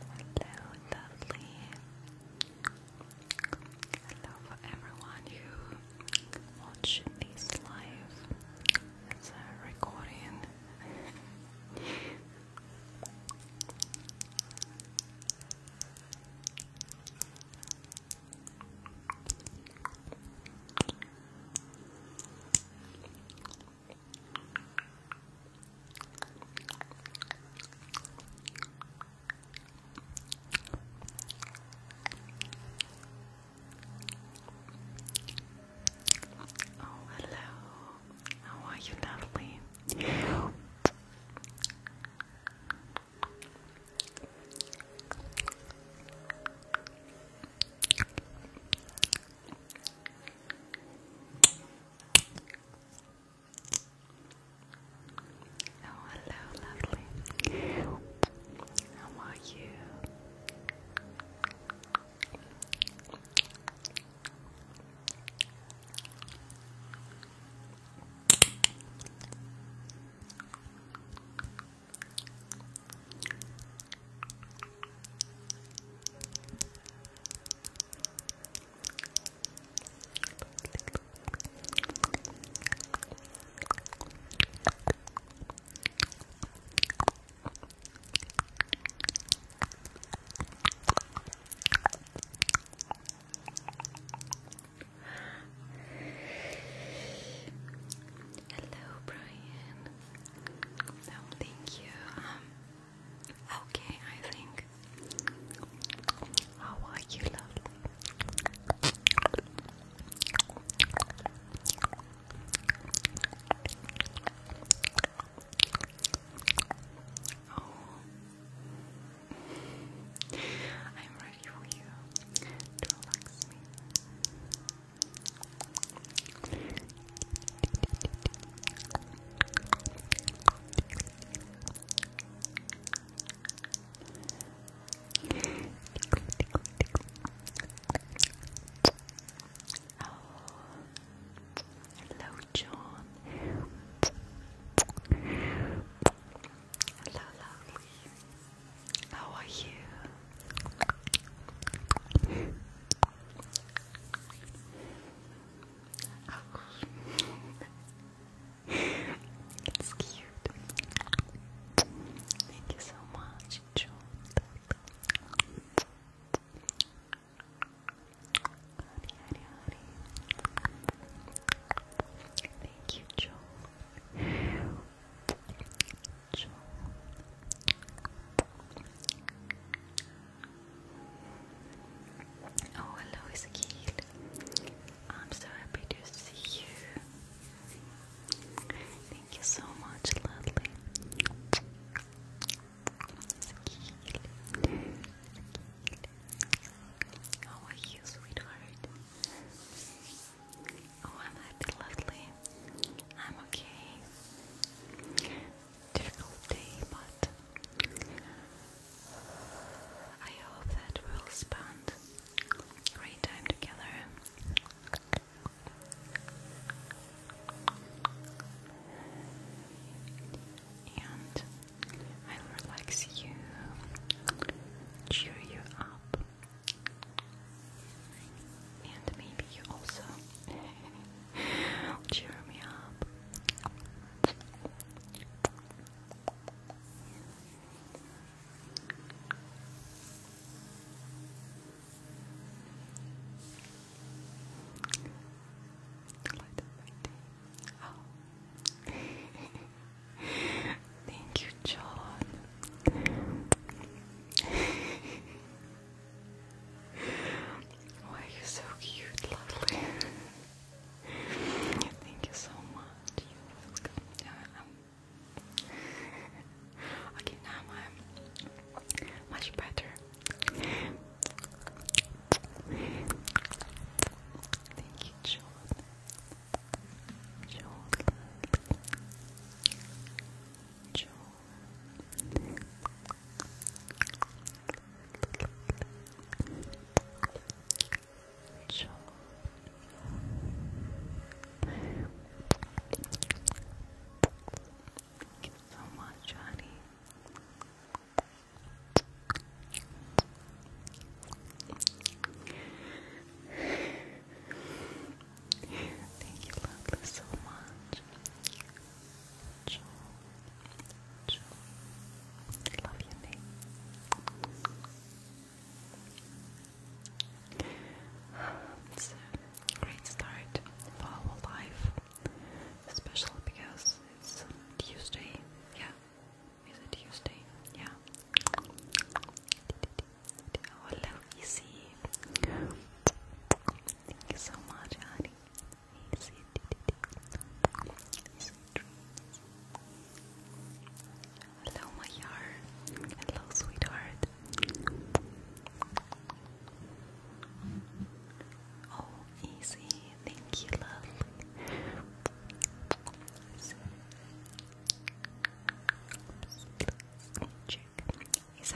Hello, lovely. Hello everyone who watch this live. It's a recording. Oh, hello. How are you, lovely? Oh, hello, lovely. How are you? Hello, Hello, Brian. No, thank you. Um, okay, I think. How are you, lovely? Oh, I'm ready for you relax me. Oh, hello, John. Hello, lovely. How are you? it's cute. Thank you so much, John. Thank you, Joel. Oh, hello, Ezekiel. I'm so happy to see you. Thank you so much, Ladley. Ezekiel. How are you, sweetheart? Oh, I'm happy, lovely. I'm okay. Difficult day, but I hope that we'll spend great time together. And I'll relax you, cheer you up, and maybe you also Cheer me up. Oh. Thank you, John. Why you so cute, lovely? Thank you so much. You feel good. Um, okay, now I'm um, much better. Thank you, John. John. John. Thank you so much, honey. Thank you, lovely, so much. Joy. Joy. Love your name. It's um, a great start for life, especially because it's um, Tuesday. Yeah, is it Tuesday? Yeah. Oh, hello, easy. Thank you so much, honey. Hello, my heart. Hello, sweetheart. Oh, easy. Thank you, love.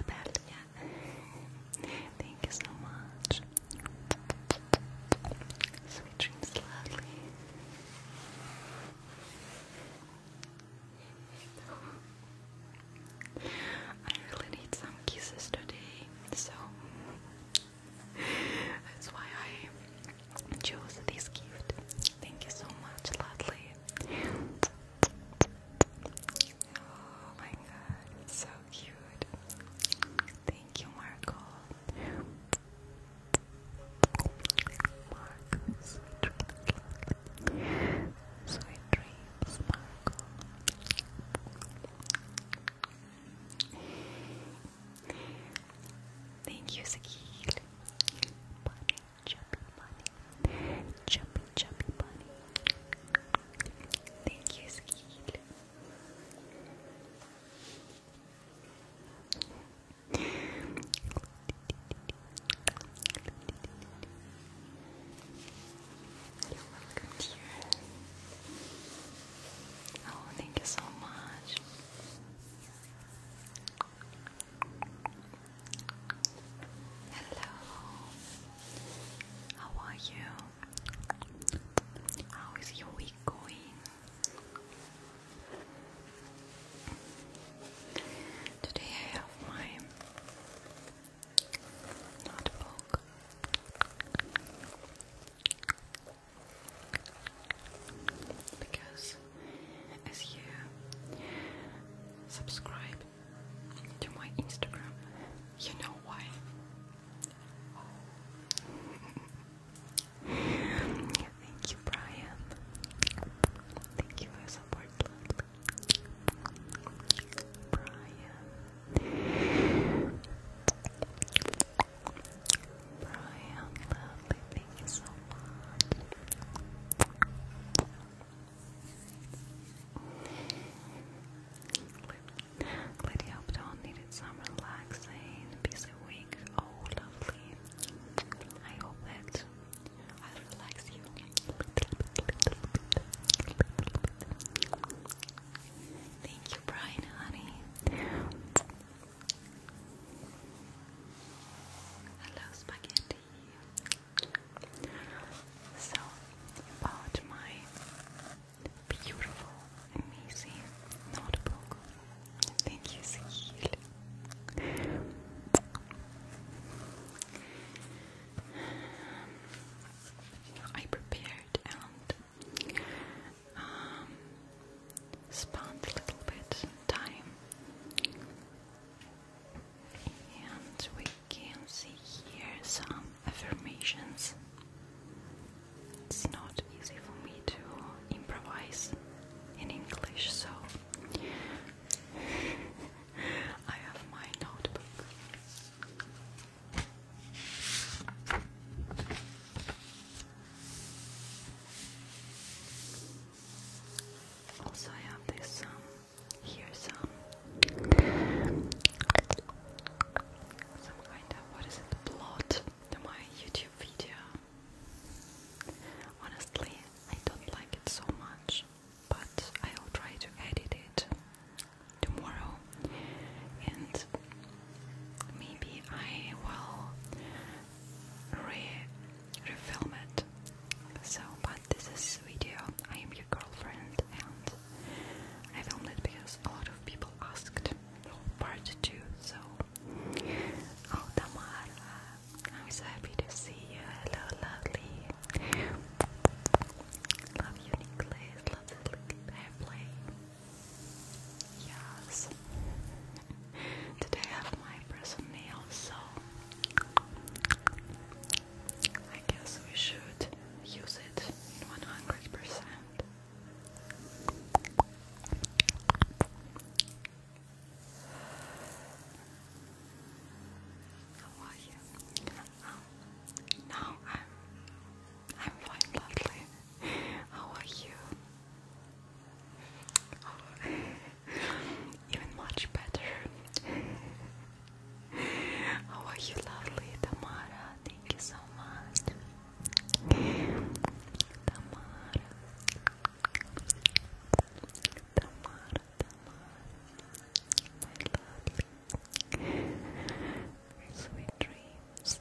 Patrick, Thank you so much. Sweet dreams, lovely. I really need some kisses today, so that's why I chose this gift. Thank you so much, lovely. Oh my god, so cute. Thank you, Marco. Marcos, sweet dreams, Marco. Thank you, Sakil. Money, jumping money. Jumpy, jumpy bunny. Thank you, Skeet. You're welcome, dear. Oh, thank you so much. Hello. How are you? How is your week going? Today I have my notebook. Because as you subscribe to my Instagram. You know why? Thank you, Brian. Thank you for your support, Brian. Brian, lovely, thank you so much. Lady Upton needed some relaxing busy week. Oh, lovely. I hope that I'll you Thank you, Brian, honey. Hello, spaghetti. So, about my beautiful, amazing notebook. Thank you, Sahil. I prepared and um, spent a little bit time. And we can see here some affirmations. It's not easy for me to improvise in English, so I have my notebook. Also, I have this um, Here's some some kind of what is it plot my YouTube video. Honestly, I don't like it so much, but I'll try to edit it tomorrow and maybe I will re refilm it. So, this is video. I am your girlfriend, and I filmed it because a lot of people asked for part two. So, oh Tamara, I'm so happy to see you. Hello, lovely. Love you, Nicholas. Love the Yes. Today I have my personal nails, so I guess we should use it in 100%. How are you? Oh, no, I'm I'm fine, lovely. How are you? Oh, even much better. How are you, Tamara? Thank you so much. Tamara. Tamara, Tamara. My lovely. Sweet dreams.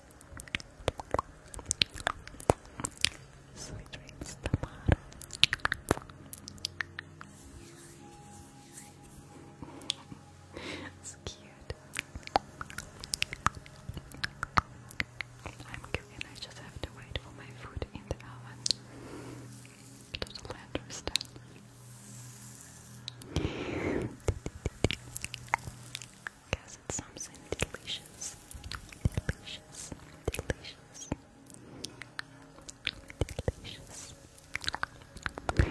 Sweet dreams, Tamara it's cute. I'm cooking, I just have to wait for my food in the oven. Totally understand. Guess it's something delicious. Delicious. Delicious. Delicious. Oh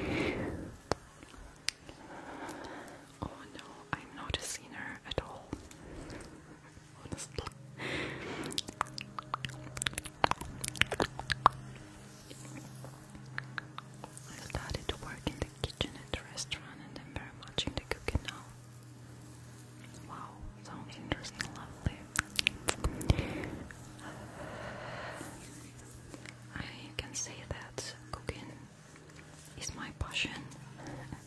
no, I'm not a sinner at all. I started to work in the kitchen at the restaurant and I'm very much into cooking now. Wow, sounds interesting, lovely. I can say that cooking is my passion.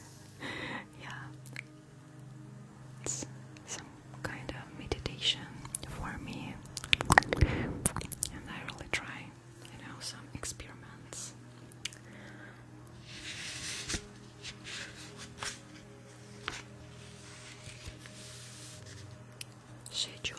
yeah, it's some kind of meditation for me, and I really try, you know, some experiments schedule.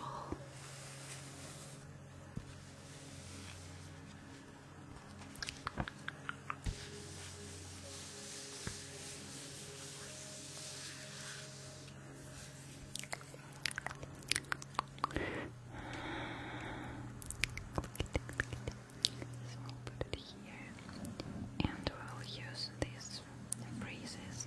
So and we'll use these phrases.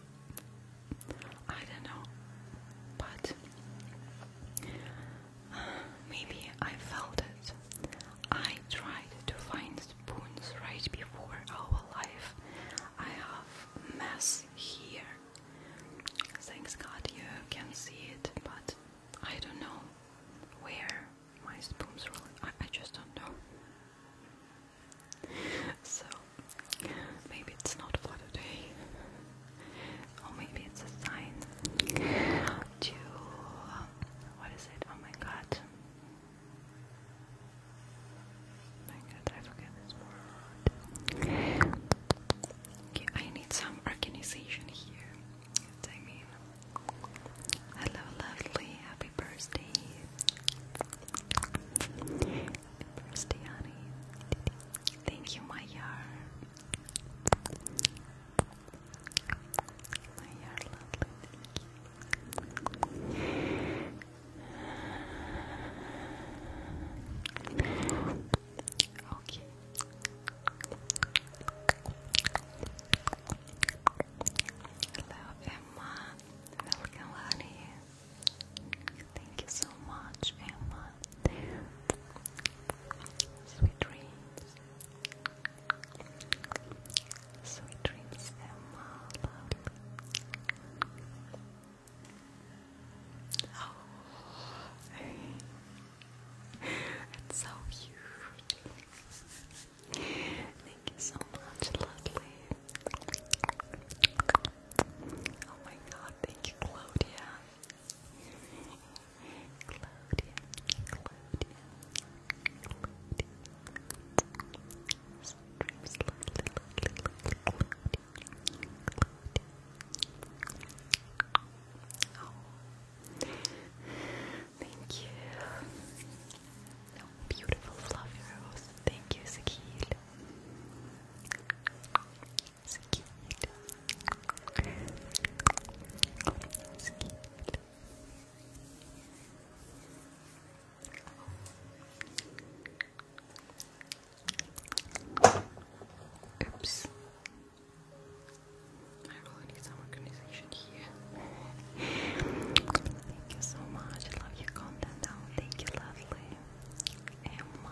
I don't know, but maybe I felt it. I tried to find spoons right before our life. I have mess here. Thanks God you can see it, but I don't know where my spoons are. I, I just don't know. So Maybe it's not for today, or maybe it's a sign to um, what is it? Oh my god! Oh my god, I forget this word. I need some organization here. I mean, hello, lovely, happy birthday. Christiani. Thank you, My Mayar, lovely. Okay. Hello, Emma. Welcome, honey. Thank you so much, Emma. Sweet dreams. Sweet dreams, Emma. Lovely. Oh, it's so beautiful. Thank you so much, lovely. Oh my god, thank you, Claudia. Claudia, Claudia, Claudia. Sometimes lovely, lovely, lovely Claudia, Claudia. Oh. Thank you. Oh, beautiful fluffy rose. Thank you, Sakil. Oops. I really need some organization here. Thank you so much. love your content Thank you, lovely. Emma.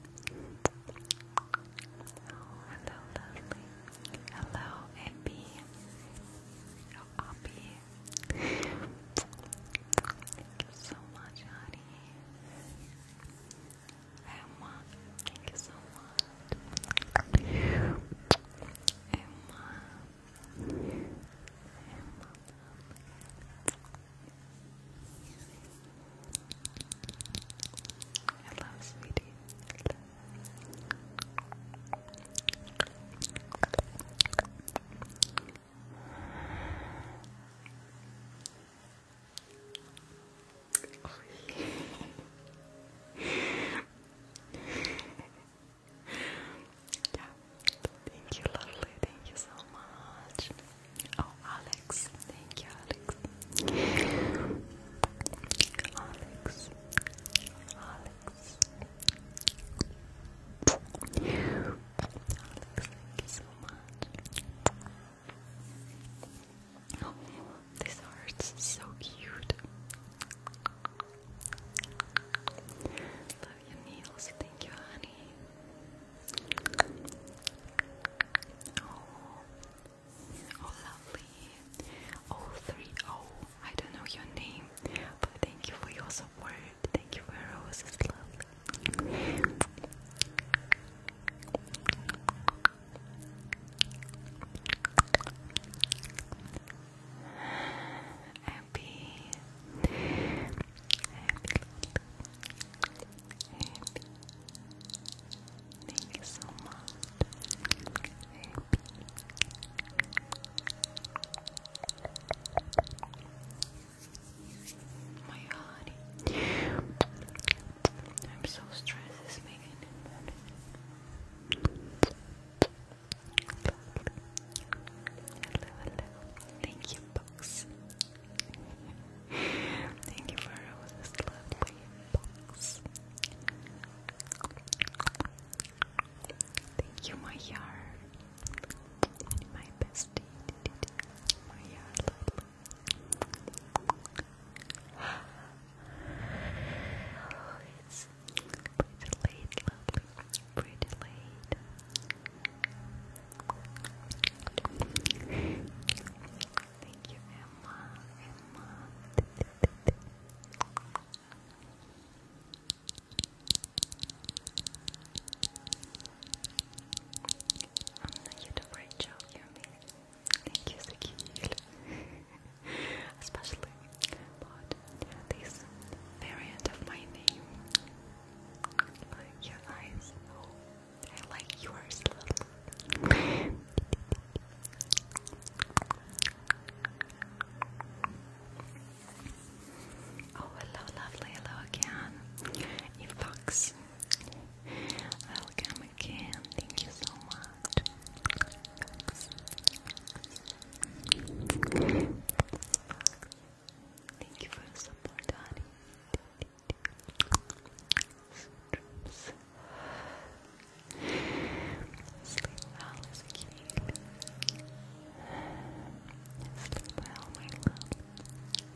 hello, lovely. Hello, Abby. Oh, Abby. Thank you so much, honey. Emma, thank you so much. Emma. Emma. Hello, sweetie. yeah. Thank you, lovely. Thank you so much. Oh, Alex, Thank you, Alex. Alex. Alex. Alex, thank you so much. Oh, this heart's so cute. Love your nails, thank you, honey. Oh, lovely. Oh, three. Oh, I don't know your name, but thank you for your support. Thank you for your roses, Happy, happy, happy, Thank you so much. My honey. I'm so stressed this Thank you, Box. Thank you for all this lovely box. Thank you, my yar. My bestie. My yar, it's pretty late, lovely. Pretty late. Thank you, Emma. Emma. Anna you do a great job, you're Thank you, Sakil. Especially but this variant of my name. your eyes. Oh, I like yours a little hello, lovely. Hello again. fox. Welcome again. Thank you so much. Thank you for the Sleep well is a key. Sleep well, my love,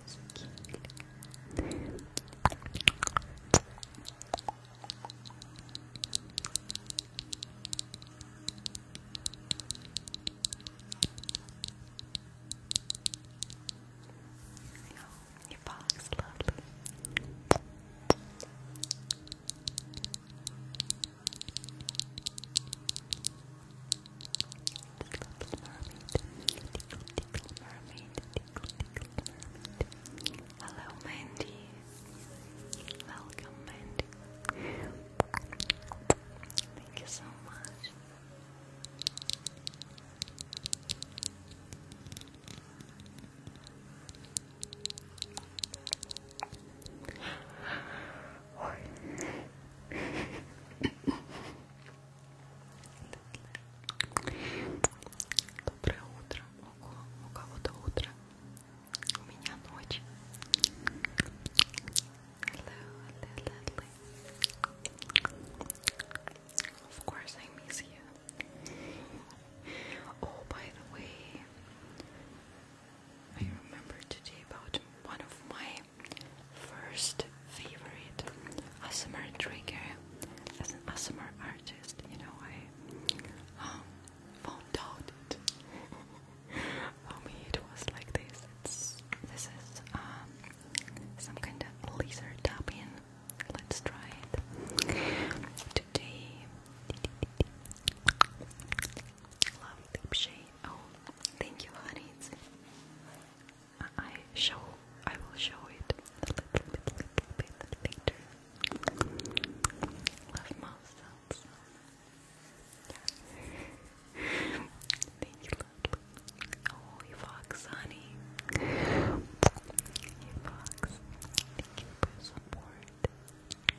is a key. I hope your box, little mermaid, tickle, mermaid, tickle, mermaid. Hello, Mandy. Welcome, Mandy. Thank you so much. Доброе утро. Ого, у кого-то утро. У меня ночь. Hello, hello, hello. Of course, I miss you. oh, by the way, I remember today about one of my first favorite ASMR trigger as an ASMR artist. You know, I um, found out it. For me, it was like this. It's this is um, some kind of laser tapping Let's try it today. Love shade. Oh, thank you, honey. Uh, I show. I will show it a little bit, later. Love mouth Yeah. Thank you, Lord. Oh, you fox, honey. You fox. Thank you for support. Thank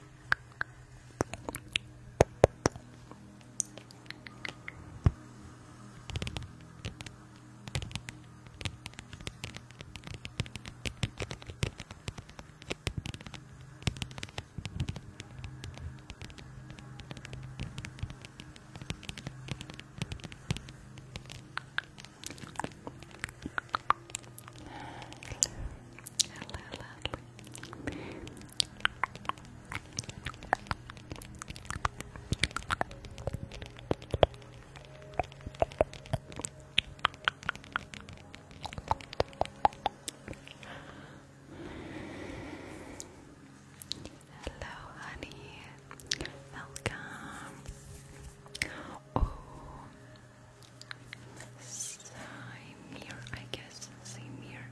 Hello, hello. Hello, honey. Welcome. Oh, Samir, I guess. Samir.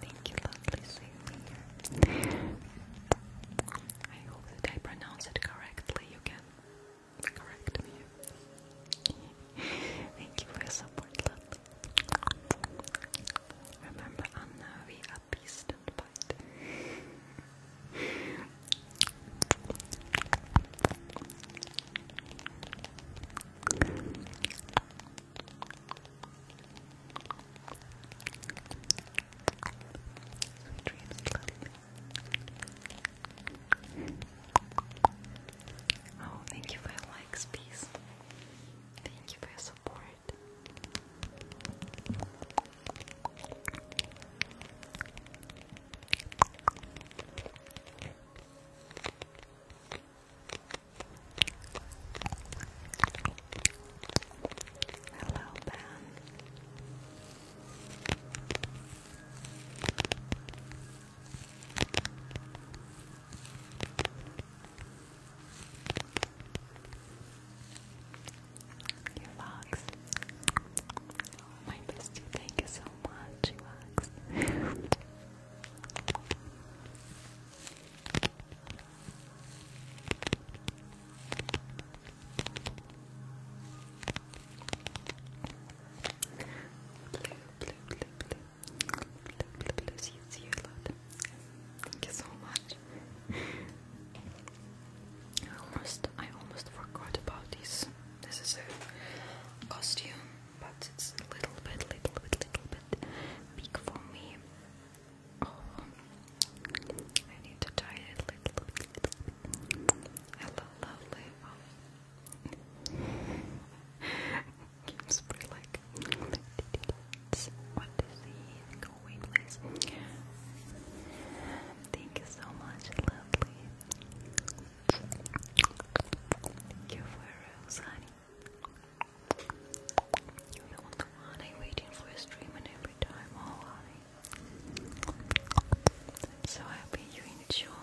Thank you, lovely Samir. I hope that I pronounce it correctly. You can correct me. Thank you for your support, lovely. Remember, Anna, we are beast and Oh, thank you for your likes, peace. Thank you for your support. Hello, Ben. You Fox. My bestie, thank you so much, you Fox. blue, blue, blue, blue. Blue, blue, blue, you, see Thank you so much. I almost, I almost forgot about this. This is a costume, but it's a little bit, little bit, little bit big for me. Oh, I need to tie it a little bit. Hello, lovely. Oh. Keeps pretty like. What is he going with? Thank you so much, lovely. Thank you for rose, honey. You're the one, I'm waiting for a stream and every time, oh I'm so happy you enjoy.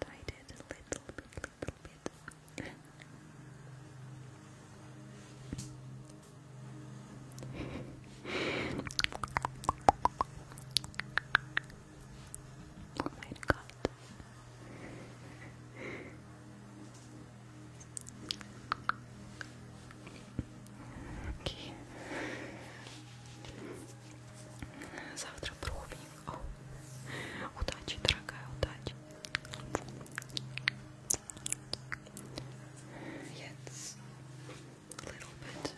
tied it a little bit. oh my god. Okay. Завтра пробник. О, удачи, дорогая, удачи. It's a little bit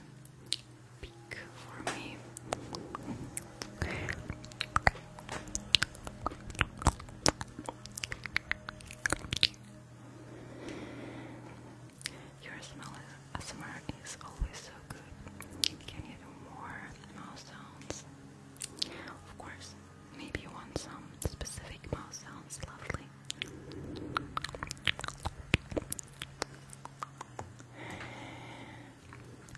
big for me. Your smell a ASMR is always so good. Can you do more mouse sounds? Of course. Maybe you want some specific mouse sounds. Lovely.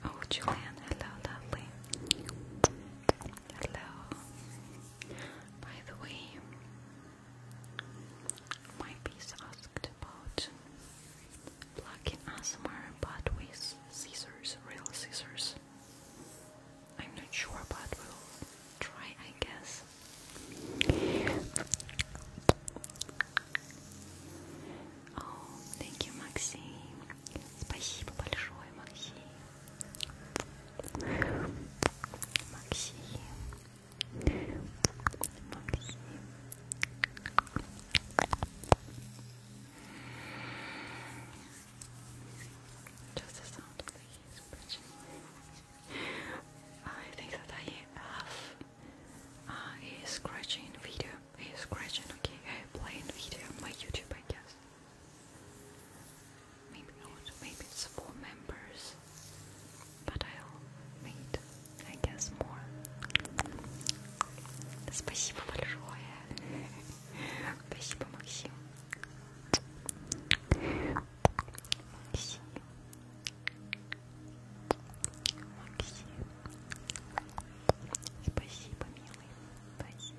Oh, Julian, hello, lovely. Hello. By the way, my piece asked about Pluck ASMR, but with scissors, real scissors. I'm not sure, but we'll try, I guess. Oh, thank you, Maxim. Спасибо большое, Максим. Максим. Максим. Just a sound, please, Bridget. I think that I have uh, a scratching video, a scratching, okay, a playing video on my YouTube, I guess. Maybe not, maybe it's for members, but I'll wait I guess more. Спасибо большое. Спасибо, Максим. Максим. Максим. Спасибо, милый. Спасибо.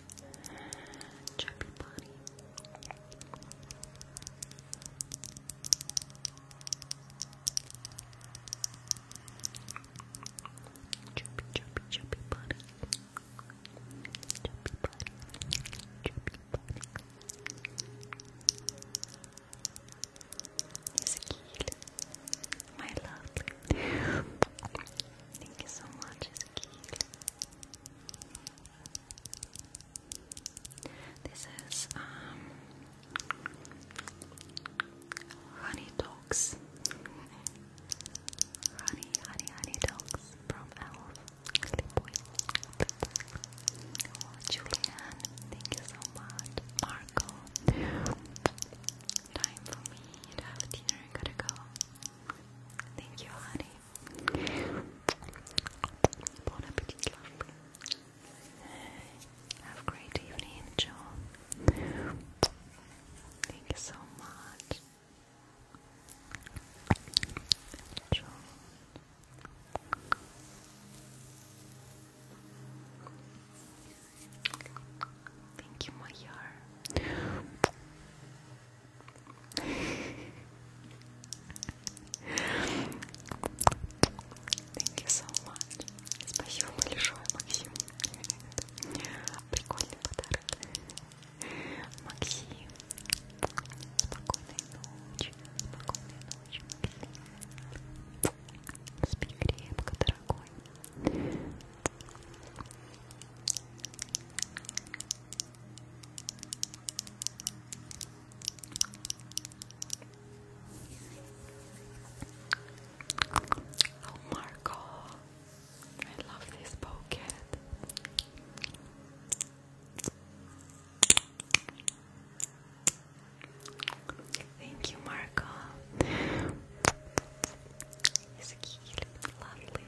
Chubby body. Chubby, chubby, chubby body. Chubby body. Chubby body. Ezekiel, my love. Thank you so much, Ezekiel. This is um, Honey Dogs. honey, honey, honey dogs from Elf. Boy. Oh, Julian, thank you so much. Marco, time for me to have dinner. Gotta go. Thank you, honey. Bon appetit, Have great evening, Joe. Thank you so much. Joe. Thank you, my Thank you so much. Спасибо большое, Максим. Прикольный подарок. Максим, спокойной ночи. Спокойной ночи, Максим. Спи крепко, дорогой. Oh, Marco, I love this pocket. Thank you, Marco. He's cute, lovely.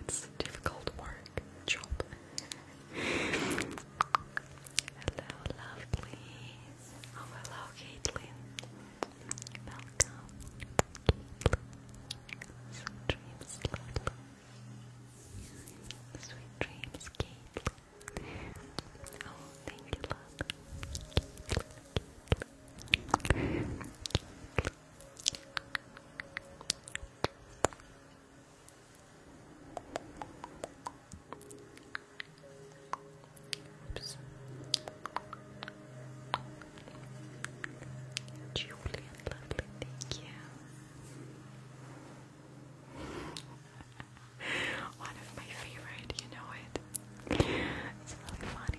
It's difficult work, job. hello, lovely. Oh, hello, Caitlin. Welcome. Sweet dreams, Sweet dreams, Caitlin. Oh, thank you, love. Oops. lovely, thank you. One of my favorite, you know it. It's really funny.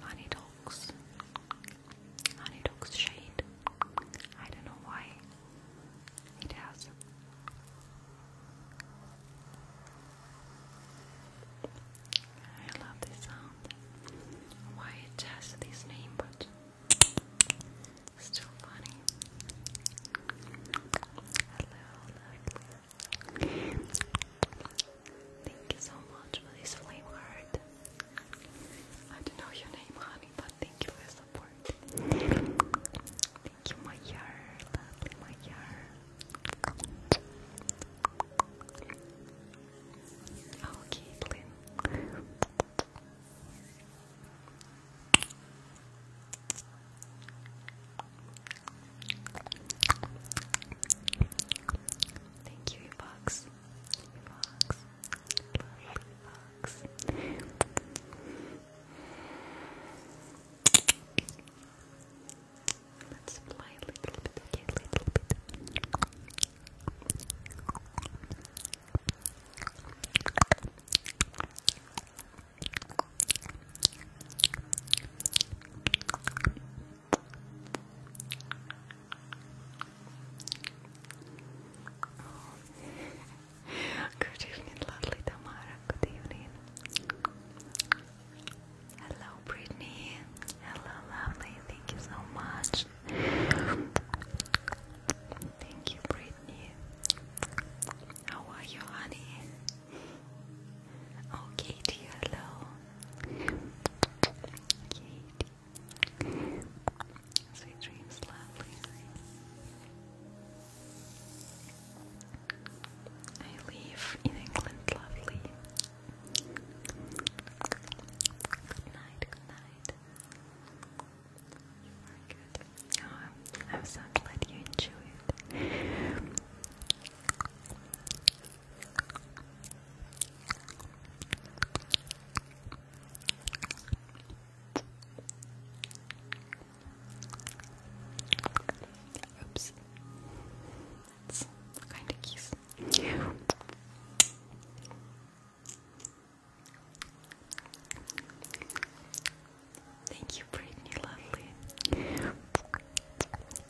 Honey Dogs. Honey Dogs shade. I don't know why it has. I love this sound. Why it has this name, but still funny. Hello, lovely. Thank you so much for this flame heart. I don't know your name, honey, but thank you for your support. Thank you, my yar, my yar. Oh, Caitlin. Thank you, you Let's apply a little bit, okay, a little bit. Good evening, lovely Tamara. Good evening. Hello, Brittany. Hello, lovely. Thank you so much. Thank you, Brittany. How are you, honey? Okay, dear hello. I live in England, lovely. Good night, good night. You oh, I'm so glad you enjoyed. Oops. That's kind of cute. Thank you, Brittany, lovely.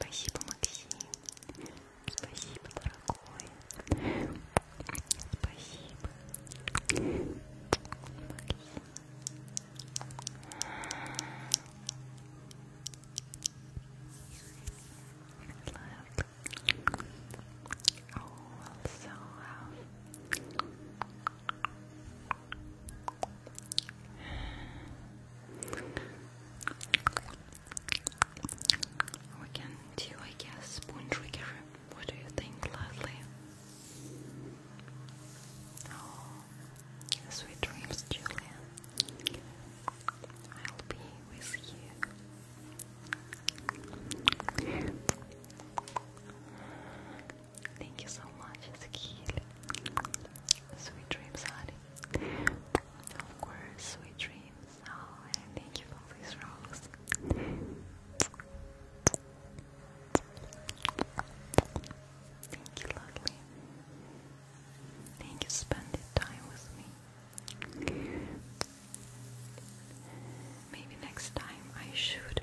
Спасибо, Максим. Спасибо, дорогой. Спасибо. Максим. Love. Oh, we can do, I guess, one What do you think, lovely? sweet dreams, Julia. I'll be with you. Thank you so much, Ezekiel. Sweet dreams, honey. Of course, sweet dreams. Oh, and thank you for these rocks. Thank you, lovely. Thank you spending time with me. Maybe next time I should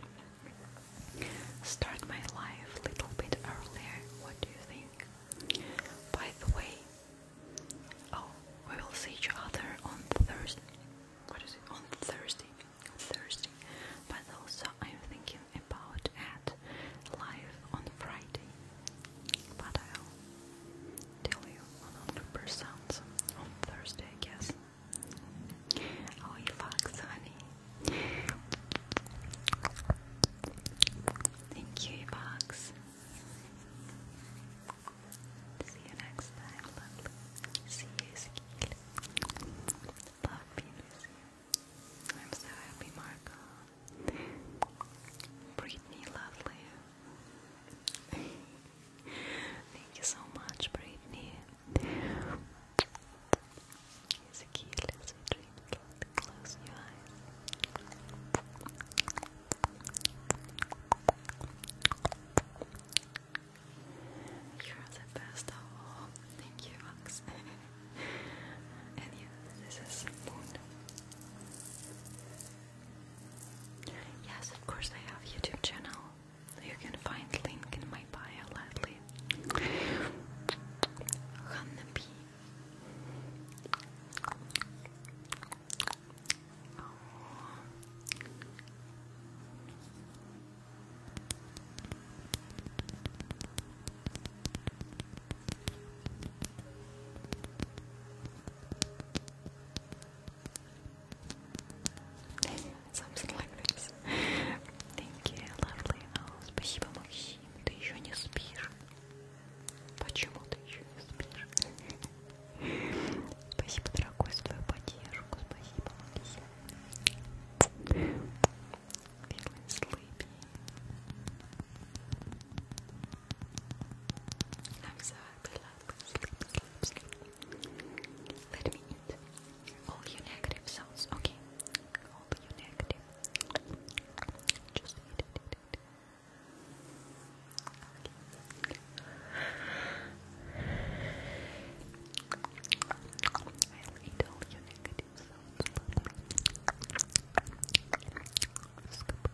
start my life a little bit earlier. What do you think? By the way, oh, we will see each other on Thursday. What is it? On Thursday. Thursday. But also I'm thinking about at live on Friday, but I'll tell you 100% on Thursday, I guess. Oh, you honey. Thank you, Fox. See you next time, lovely. See you, Skill. Love being with I'm so happy, Marco. Brittany, lovely. Thank you so much, Brittany. Here's a key, let's Close your eyes. You're the best of Thank you, Max. and yeah, this is Moon. Yes, of course I have YouTube channel. You can find link in my bio lately. Something like this. Thank you, lovely. Oh, спасибо, Максим. Ты еще не спишь. Почему ты еще не спишь? Спасибо, дорогой, за твою поддержку. Спасибо, Максим. Feeling sleepy. I'm so happy, love. Sleep, sleep, sleep. Let me eat all your negative sounds, okay? All your negative. Just eat it, eat it. Okay. I'll eat all your negative sounds. Scoop,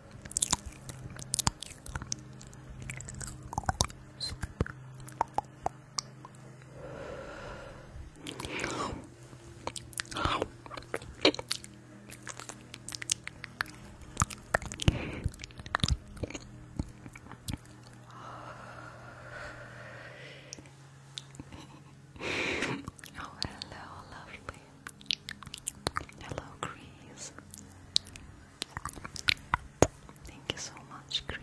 Oh, hello, lovely. Hello, Chris. Thank you so much, Chris.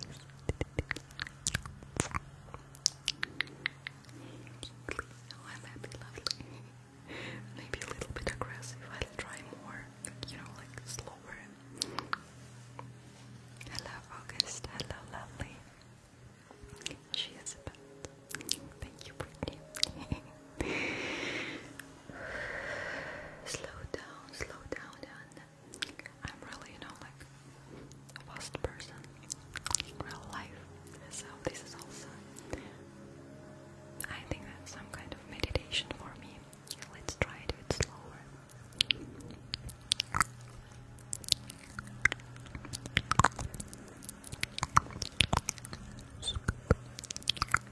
Oh, I might be lovely. Maybe a little bit aggressive. I'll try more, you know, like slower. Hello, August. Hello, lovely. She is a pet. Thank you, slow down, slow down, I'm really, you know, like a fast person in real life. So this is also, I think some kind of meditation for me. Let's try it a bit slower.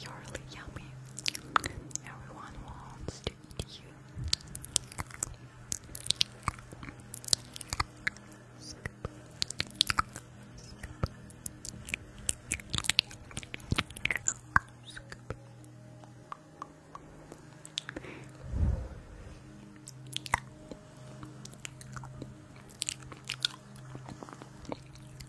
You're really yummy. Everyone wants to eat you.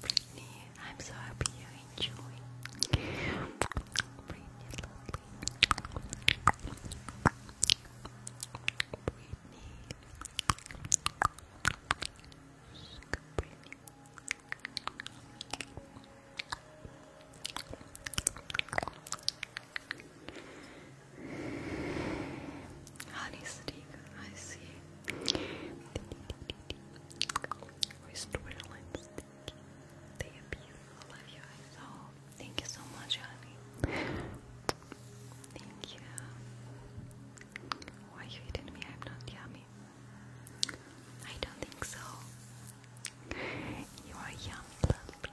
Brittany, I'm so happy you enjoy. Brittany, lovely. Brittany. Honey stick, I see. Wrist whirling stick. They beautiful. you. Oh, thank you so much, honey. Thank you. Why you eating me? I'm not yummy. I don't think so. You are yummy, my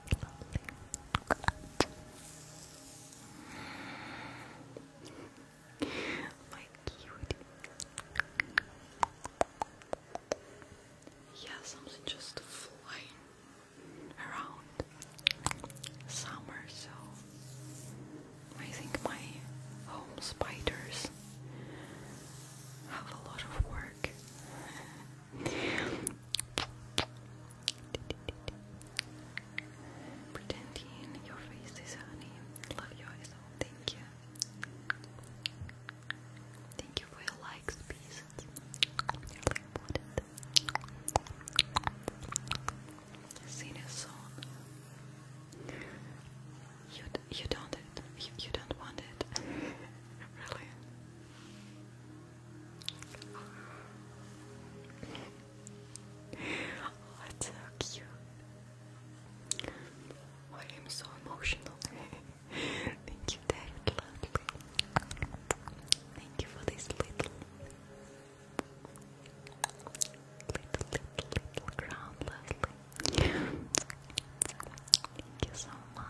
cutie. Yeah, something just flying around summer, so I think my home spiders have a lot of work. Pretending your face is honey. Love your eyes. thank you. Thank you for your likes, pieces. you really important. Sing a song. You you don't it. You, you don't want it. really. Oh, it's so I am so emotional. Thank you, David Lovely. Thank you for this little, little, little, little crown, Thank you so much.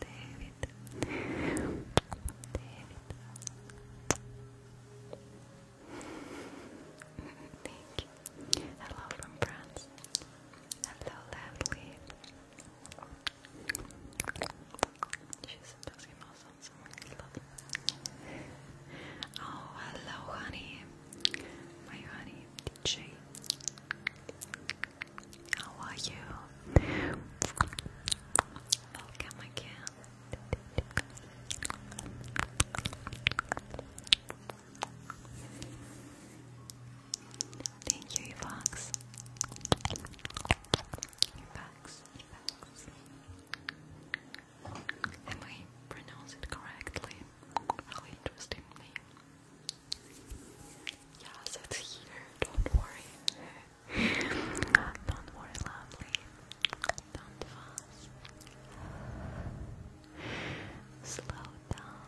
David, David. Thank you. Hello from France. Hello, lovely. She's doing awesome. So love. Oh, hello, honey. My honey, DJ. How are you? Welcome again. Thank you, Evox. Evox, Evox. Am I pronounced it correctly? Really interesting Yes, it's here. Don't worry. Don't worry, lovely. Don't fuss. Slow down.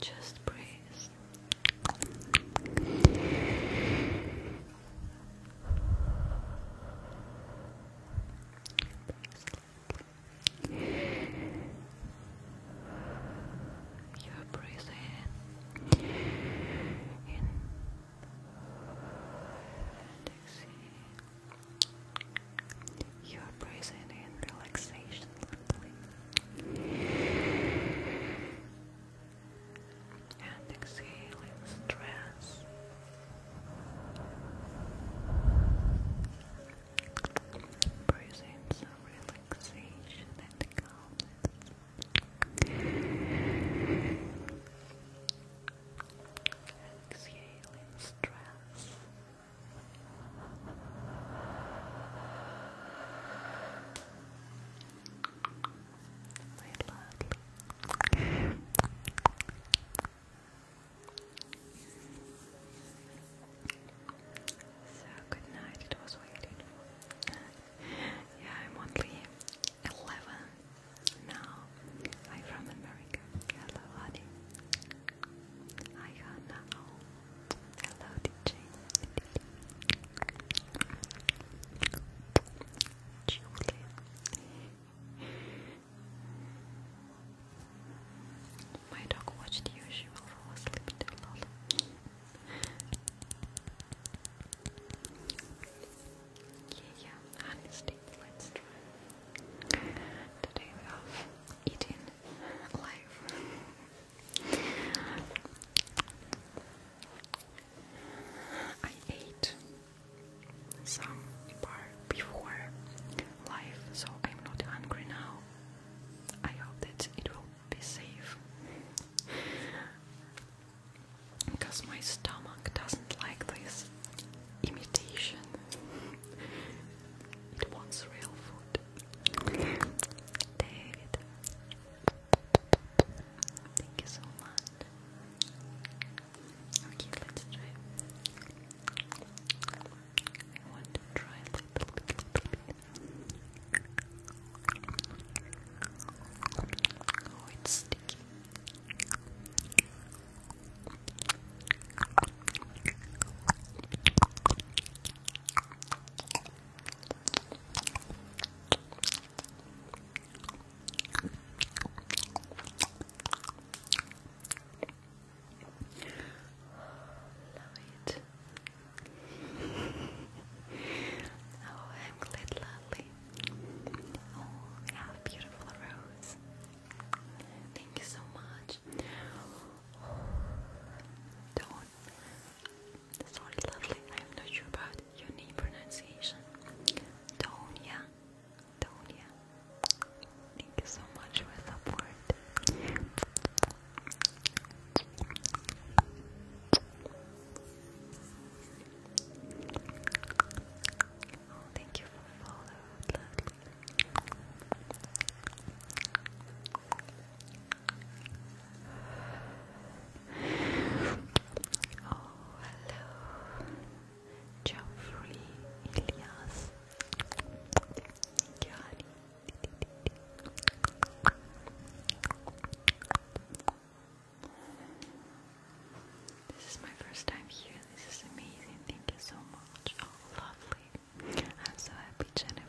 Just Breathe you are breathing in relaxation, And exhaling stress. Present some relaxation and calmness. Exhaling stress. Very loudly. So good night. It was waiting. yeah, I'm only eleven now. I'm from America. Hello, honey. Hi, Hannah. Hello, DJ. Julie. My dog watched you, she will fall asleep too yeah, yeah, let's try. Today we have eating life. I ate some bar before life, so I'm not hungry now. I hope that it will be safe because my stomach doesn't like this imitation, it wants real food. David, thank you so much. Okay, let's try. I want to try a little bit. Oh, it's sticky. Love it. oh, I'm glad, lovely. Oh, yeah, beautiful rose. Thank you so much. do Sorry, lovely. I'm not sure about your name pronunciation. Tonya. Tonya. Thank you so much for support. Oh, thank you for following. Oh, hello, Geoffrey Elias. This is my first time here. This is amazing. Thank you so much. Oh, lovely. I'm so happy, Jennifer.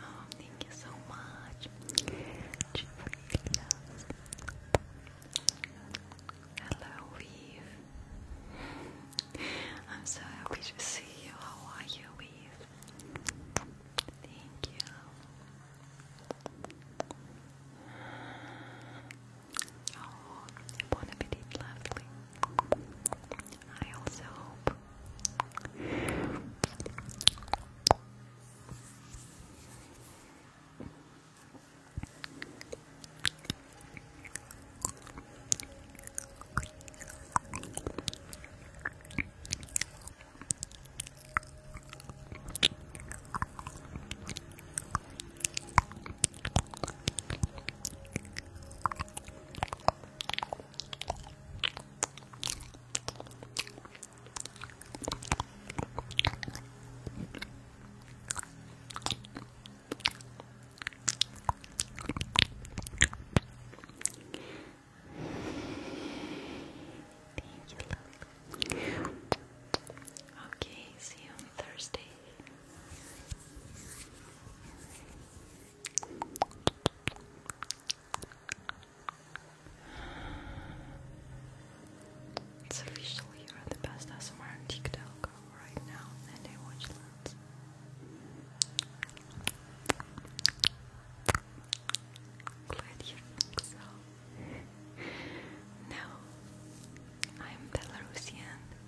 Oh, thank you so much. Hello, Weave. I'm so happy to see you. How are you, Weave? Thank you. Oh, bon appetit, lovely. I also hope. Thank you, love. Okay, see you on Thursday. It's official you're the best ASMR on TikTok right now and I watch lots. Glad you think so. now I'm Belarusian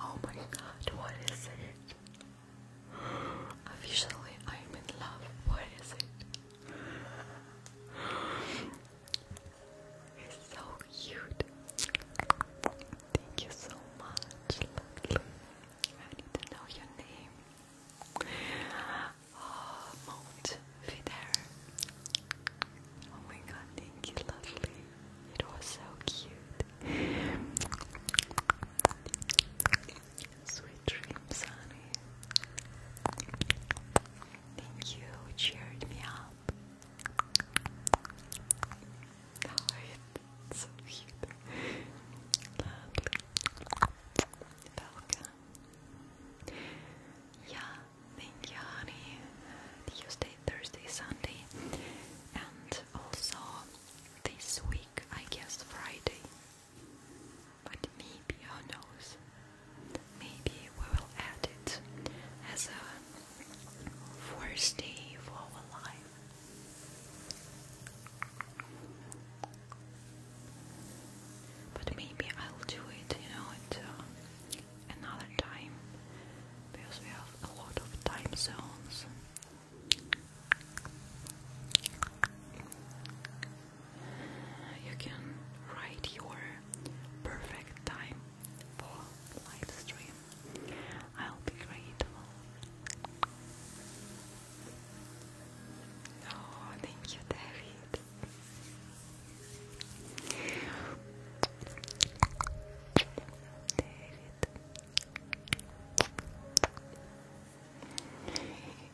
Oh my god, what is it? Officially, I'm in love. What is it? He's so cute. Thank you so much, I need to know your name. Oh, Mount Oh my god, thank you, Lovely. It was so cute. Sweet dreams, honey. Thank you, cheered me up. so cute. Yeah, thank you, honey. Tuesday, Thursday, Sunday, and also this week, I guess Friday. But maybe, who knows? Maybe we will add it as a first day for our life. But maybe I'll do it, you know, at uh, another time because we have a lot of time zones you can write your perfect time for live stream. I'll be grateful. Oh, thank you, David. David.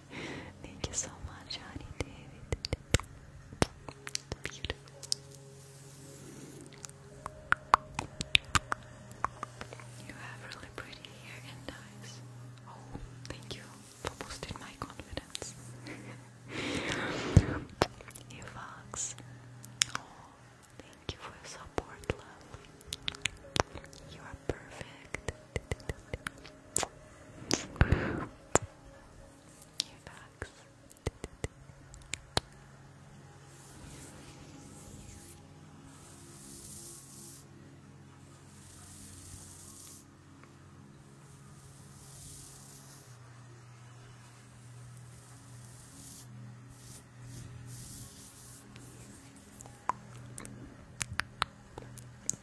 Thank you so much, honey David. You have really pretty hair and eyes. Oh, thank you for boosting my confidence. you Oh, thank you for your support, love. You are perfect. your box.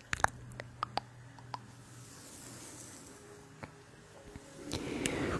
Hello, Natalie. Hello.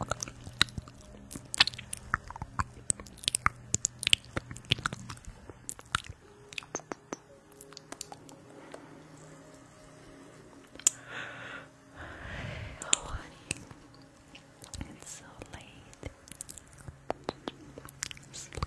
Oh, honey, it's so late. Sleep.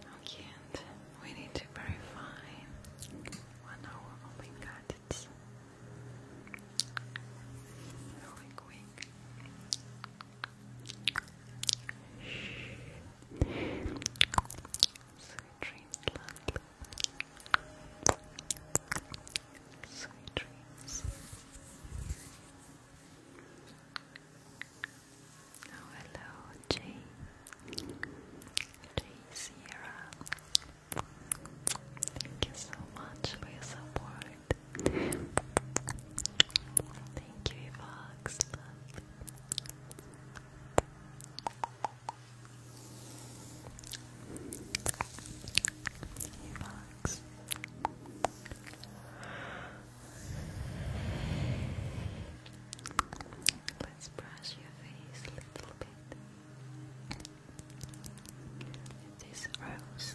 How cute we need to verify Oh my god, Sweet dreams, love. Sweet dreams. Oh, hello, Jane. Sierra. Thank you so much for your support. Thank you, Fox. Fox. Let's brush your face a little bit this rose.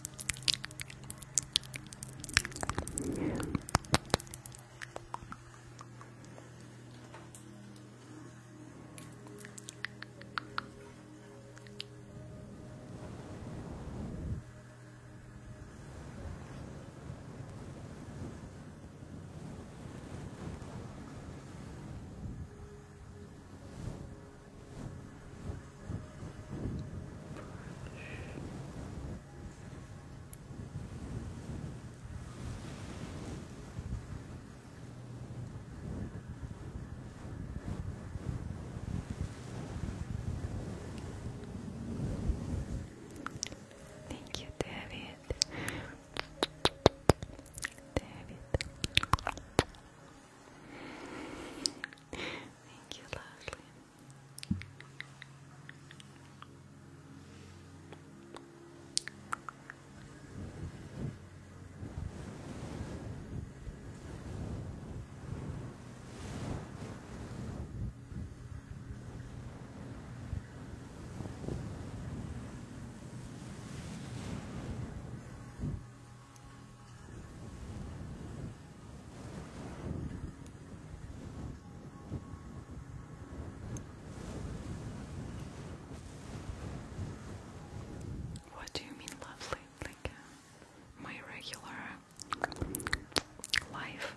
Thank you, David. David. Thank you, lovely. Thank what do you mean, lovely? Like uh, my regular life.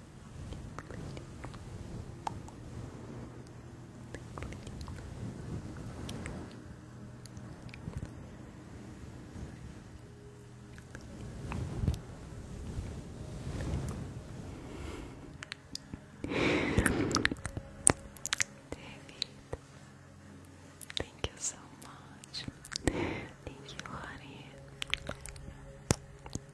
Thank you so much. Thank you, honey.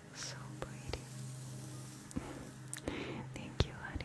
You're so pretty. Thank you, honey.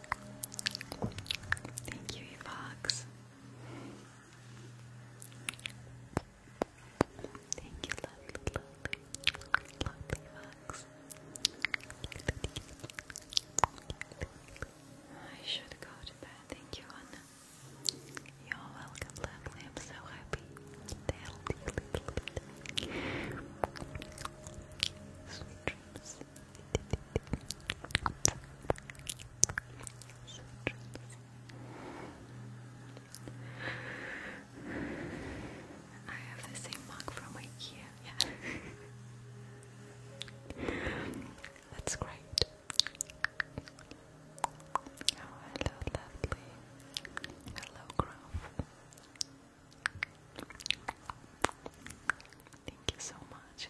Thank you, Evox. Thank you, lovely, lovely, lovely Evox. I should go to bed. Thank you, Anna. You're welcome, lovely. I'm so happy. They'll be a little bit. Sweet dreams. I have the same mug from IKEA. Yeah, that's great. Oh, hello, lovely. Hello, Grove. Thank you so much.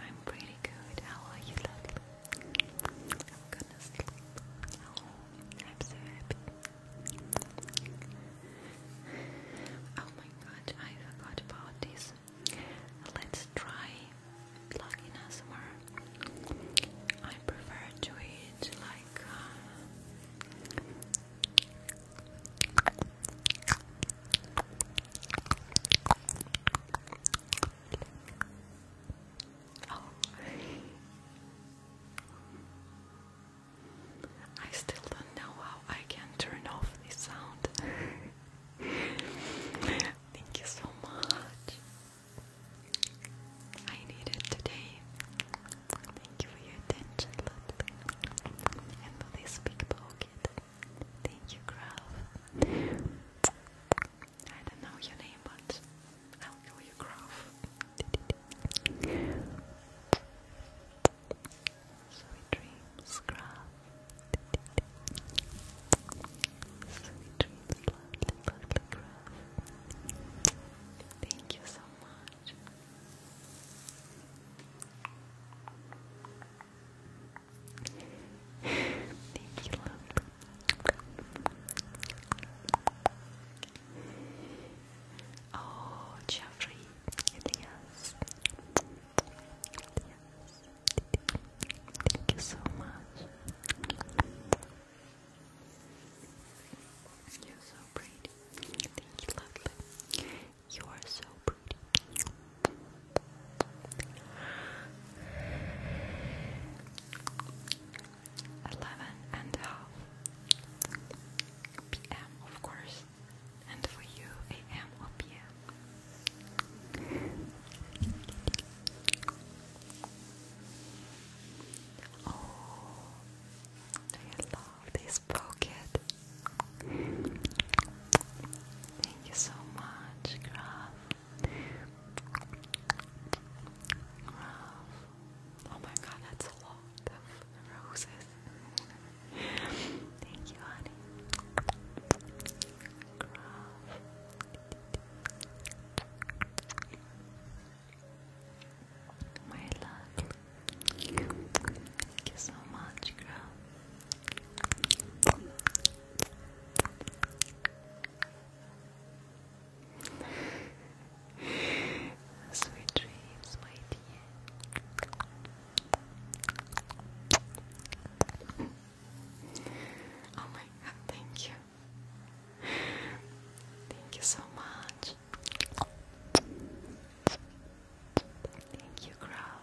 I'm pretty good. How are you, lovely? I'm oh, gonna sleep. Oh, I'm so happy. Oh my god, I forgot about this. Let's try plugging somewhere. I prefer to eat like. Uh, Oh. I still don't know how I can turn off this sound. Thank you so much. I need it today. Thank you for your attention, Ludwig. And for this big pocket. Thank you, Graf. I don't know your name, but I'll call you Graf. Sweet dreams, Graf. Sweet dreams, lovely, lovely Graf. Thank you so much. Thank you, love. Oh, Jeffrey, Elias. Elias. Thank you so much. You're so pretty. Thank you, lovely. You are so pretty. Eleven and a half PM, of course, and for you, AM or PM. Oh, I love this pocket. Thank you so much, Graf. Oh my god, that's a lot of roses. Thank you, honey. My love. Thank you so much, girl. Sweet dreams, my Oh my god, thank you. Thank you so much. Thank you, Graf.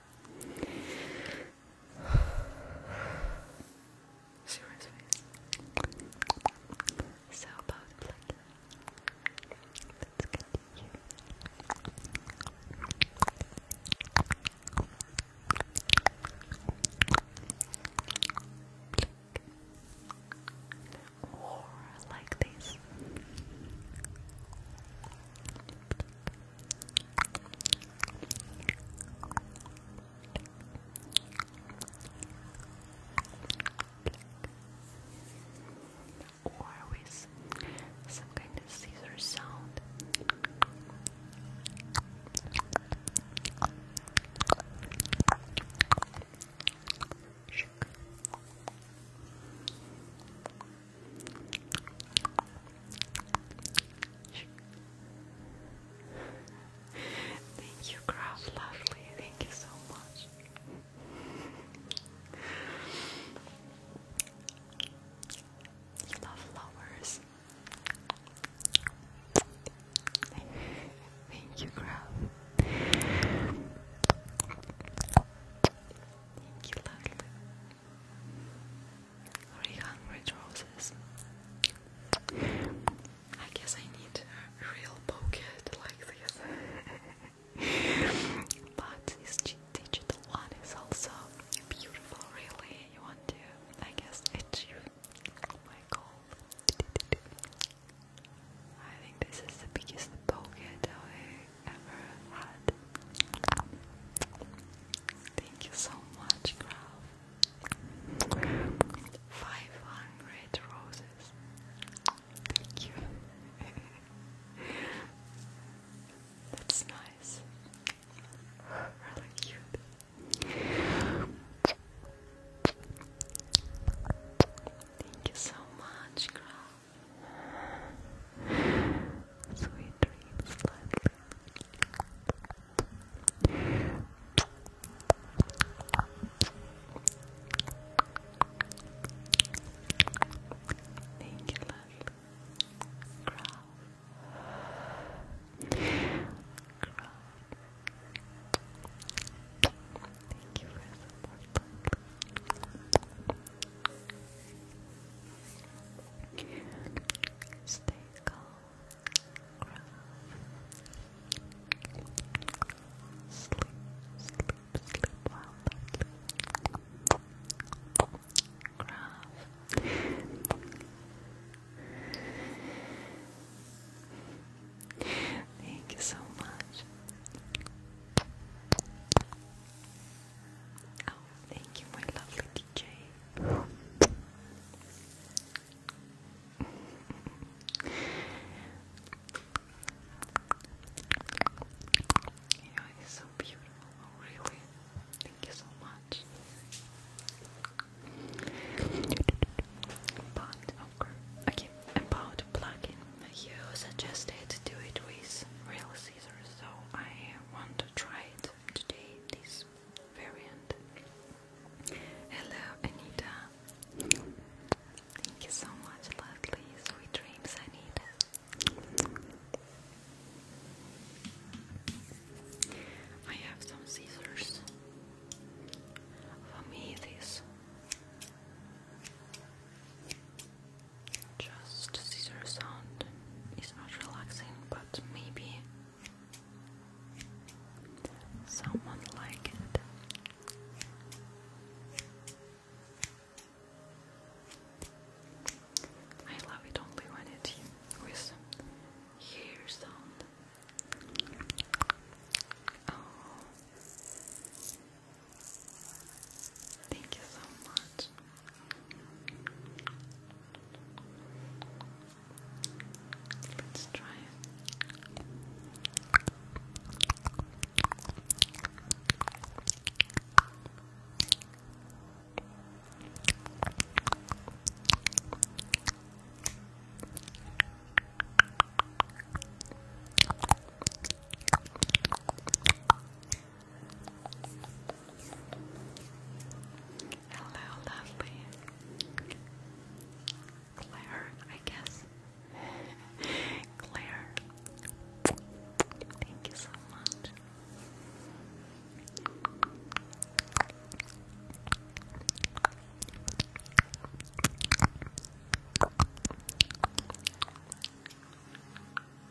Serious face. So about let's get here. Or like this or with some kind of scissor sound. Shake. Thank you, Craft Lovely. Thank you so much. love flowers. Thank you, Craft. Thank you, lovely. Three hundred roses. I guess I need a real pocket like this. but this digital one is also beautiful, really. You want to, I guess, it's you. Oh my god. I think this is the biggest pocket I oh, ever had. Thank you so much, Graf. 500 roses. Thank you. That's nice. Really cute. Thank you so much, Graf. Sweet dreams, lovely. Thank you, lovely. Growl. Growl. Thank you for support. Stay calm, ground. Sleep, sleep, sleep well. Graph. Thank you so much. Oh, thank you, my lovely DJ. you know, so beautiful. Oh, really? Thank you so much. But, okay, about the you suggested do it with real scissors, so I want to try it today this variant. Hello, Anita. Thank you so much, lovely. Sweet dreams, Anita. I have some scissors. For me, this just scissor sound is not relaxing, but maybe someone like it. I love it only when it with hair sound. Oh. Thank you so much. Let's try it. Hello, lovely Claire, I guess. Claire, thank you so much.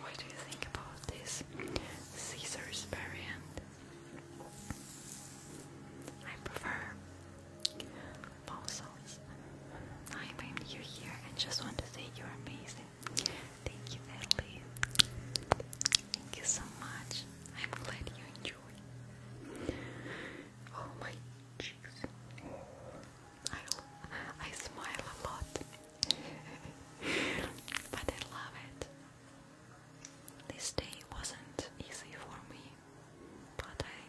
What do you think about this Caesar's variant? I prefer fossils. I'm new here and just want to say you're amazing. Thank you, Ellie. Thank you so much. I'm glad you enjoyed. Oh my cheeks. I, I smile a lot, but I love it. This day wasn't easy for me, but I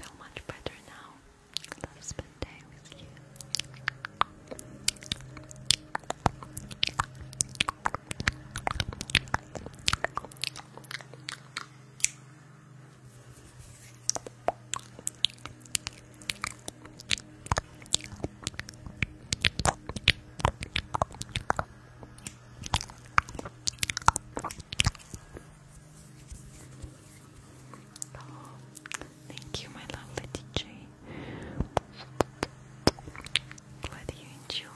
feel much better now. Let's spend with you thank you, my lovely DJ. Glad you enjoy.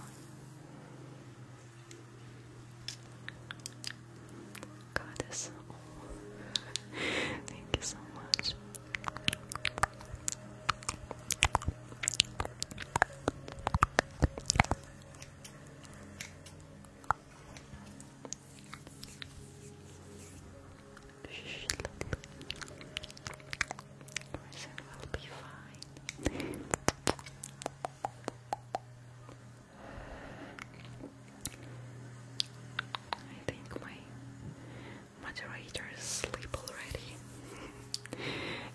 Goddess. Oh. Thank you so much. Person will be fine. I think my moderator is asleep already.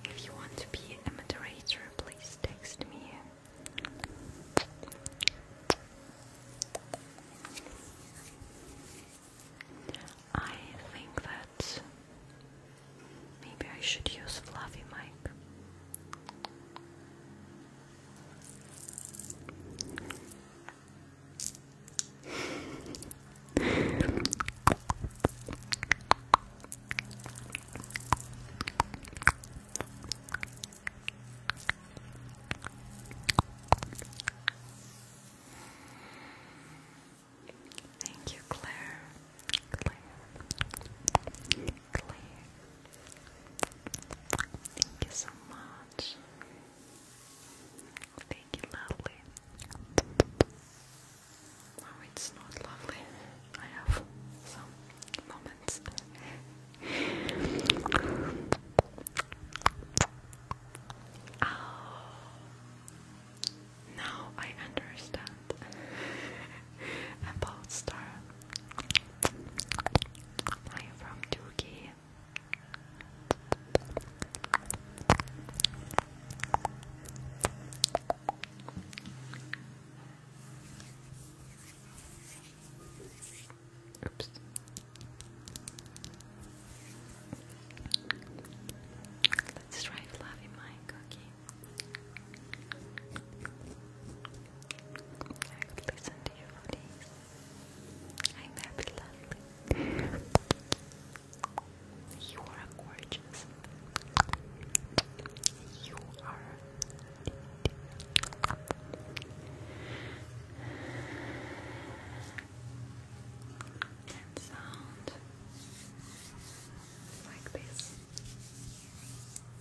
if you want to be a moderator, please text me. I think that Maybe I should use fluffy mic. Thank you, Claire. Claire. Claire. Thank you so much. Thank you, lovely. No, it's not lovely. I have some moments. oh, now I understand. and Polestar. I am from Turkey. Oops. Let's try fluffy cookie. I could listen to you for I'm happy, lovely. you are gorgeous. You are. And sound like this.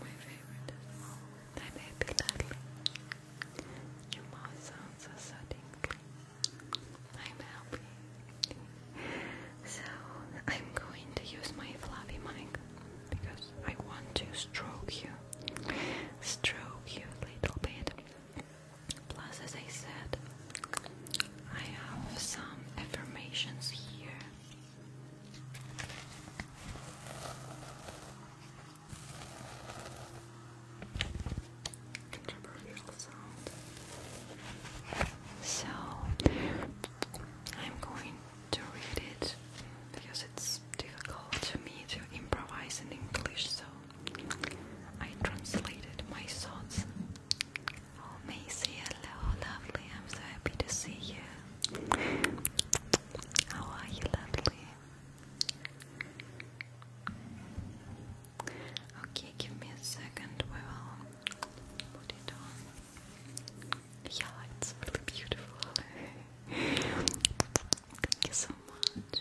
my favorite my baby Lily. Your mouth sounds so dinkly. I'm happy. So I'm going to use my fluffy mic because I want to stroke you. Stroke you a little bit. Plus, as I said, I have some affirmations here. Controversial sound. So I'm going to read it because it's difficult to me to improvise in English, so I translated my thoughts Oh, Macy, hello, oh, lovely. I'm so happy to see you. How are you, lovely? Okay, give me a second. We will put it on. Yeah, it's really beautiful. Thank you so much.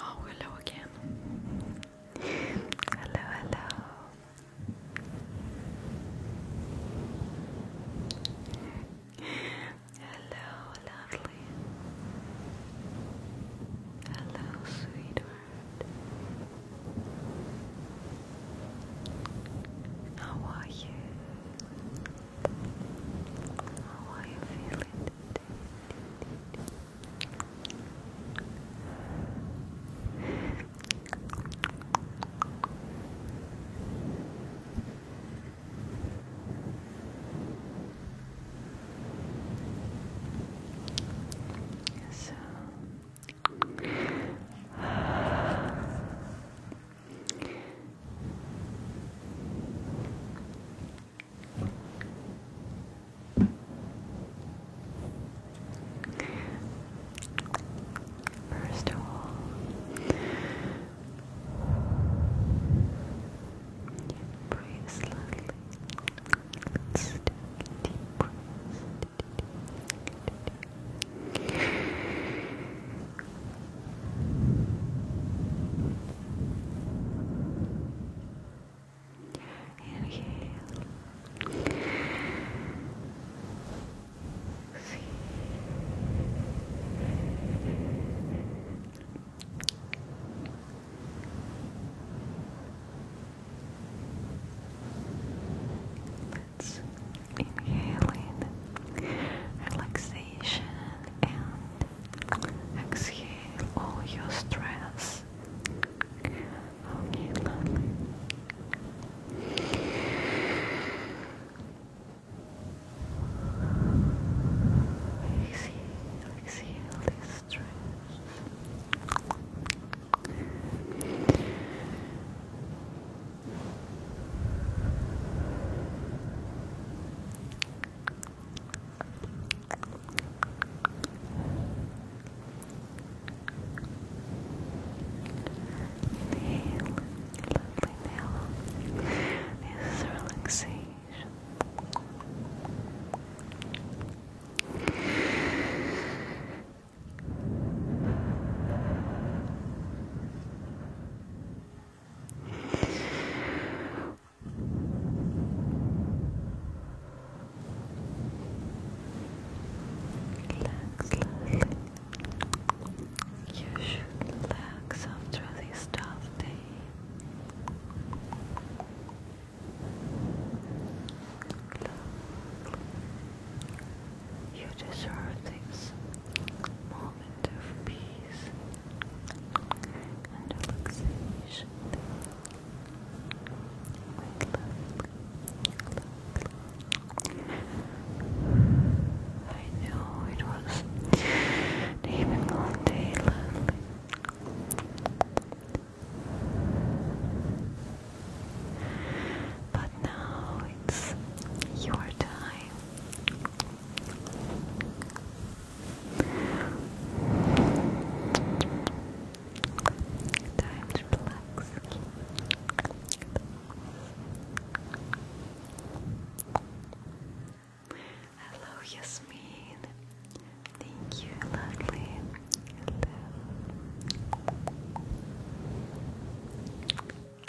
Oh, hello again. Hello, hello. Hello, hello, Hello, sweetheart. How are you? How are you feeling today? So First of all, breathe slowly. Let's take a deep breath. Inhale let inhale relaxation and exhale all your stress. Okay, lovely. Exhale, exhale this stress. Nail. This is relaxing. Relax, You should relax after this tough day. You deserve this moment of peace and relaxation I know it was an even day lately. But now it's your time. Time to relax. Hello, Yasmin. Thank you, lovely.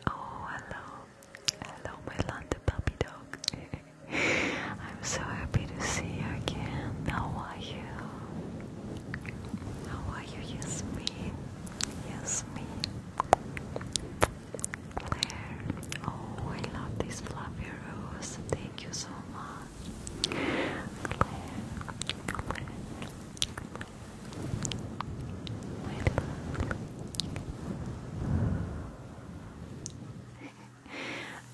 Oh, hello. Hello, my London puppy dog. I'm so happy to see you again. How are you? How are you? Yes, me. Yes, me. Claire. Oh, I love this fluffy rose. Thank you so much i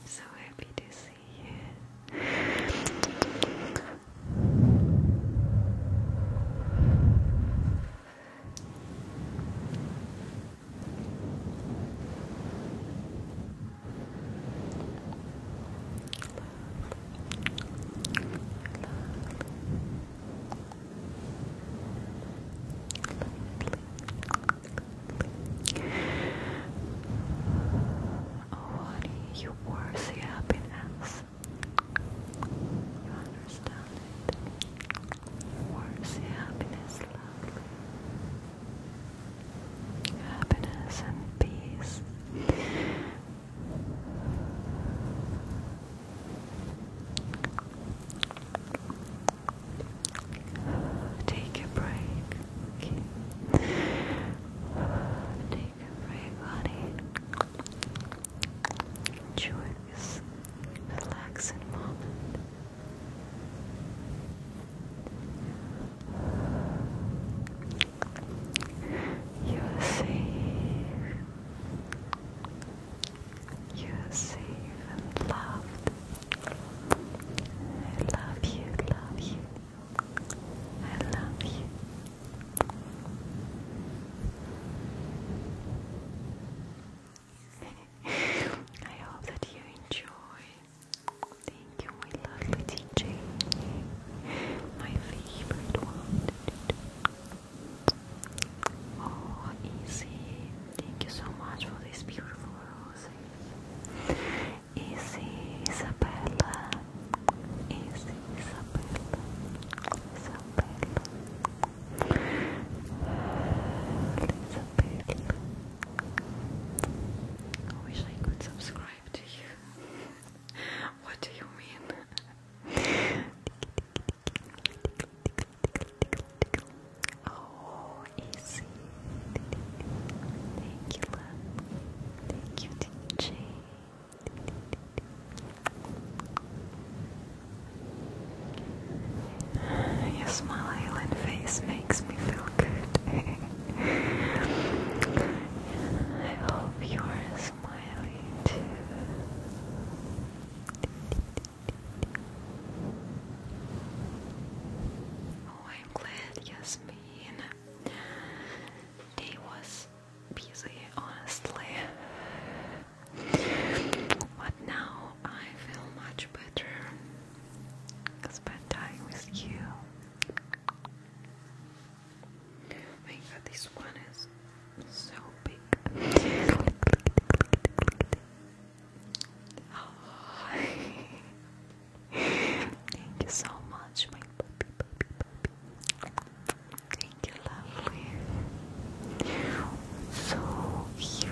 so happy to see you. Oh, you worth the happiness. You understand it? You worth happiness, lovely happiness and peace. Take a break. Take a break, honey. Enjoy this relaxing moment. You are safe. You are and loved. I love you, love you. I love you. I hope that you enjoyed Thank you, my lovely TJ. My favorite one. Oh, easy. Thank you so much for this beautiful rose. Easy, Isabella. Easy, Isabella. Isabella. Isabella. I wish I could subscribe what do you mean? oh, easy. Thank you, love. Thank you, DJ. Your smile, face makes me feel good. I hope you're smiling too. Oh, I'm glad Yasmin. Day was busy, honestly. But now I feel much better. Spend time with you my god, this one is so big. Oh, Thank you so much, my puppy, puppy, puppy. Thank you, lovely. So cute.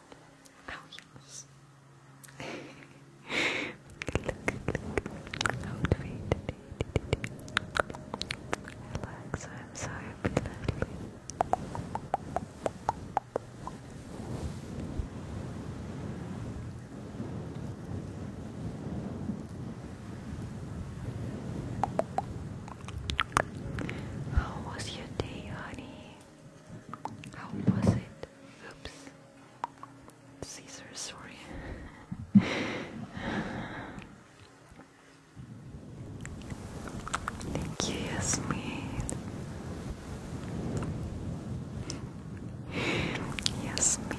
Oh yes. look, look. Outfit. Relax. I'm so happy lately. How was your day, honey? How was it? Oops. Caesar, sorry. Thank you, Yasmin. Yasmin.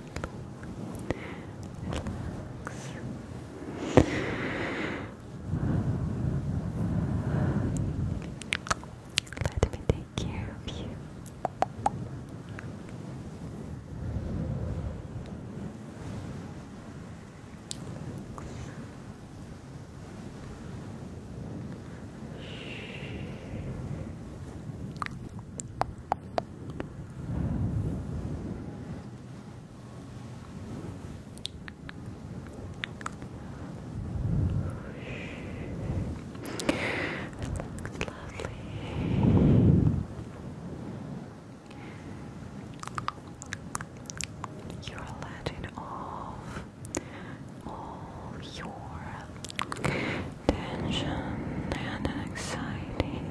relax. Let me take care of you. You're letting off all your tension and anxiety.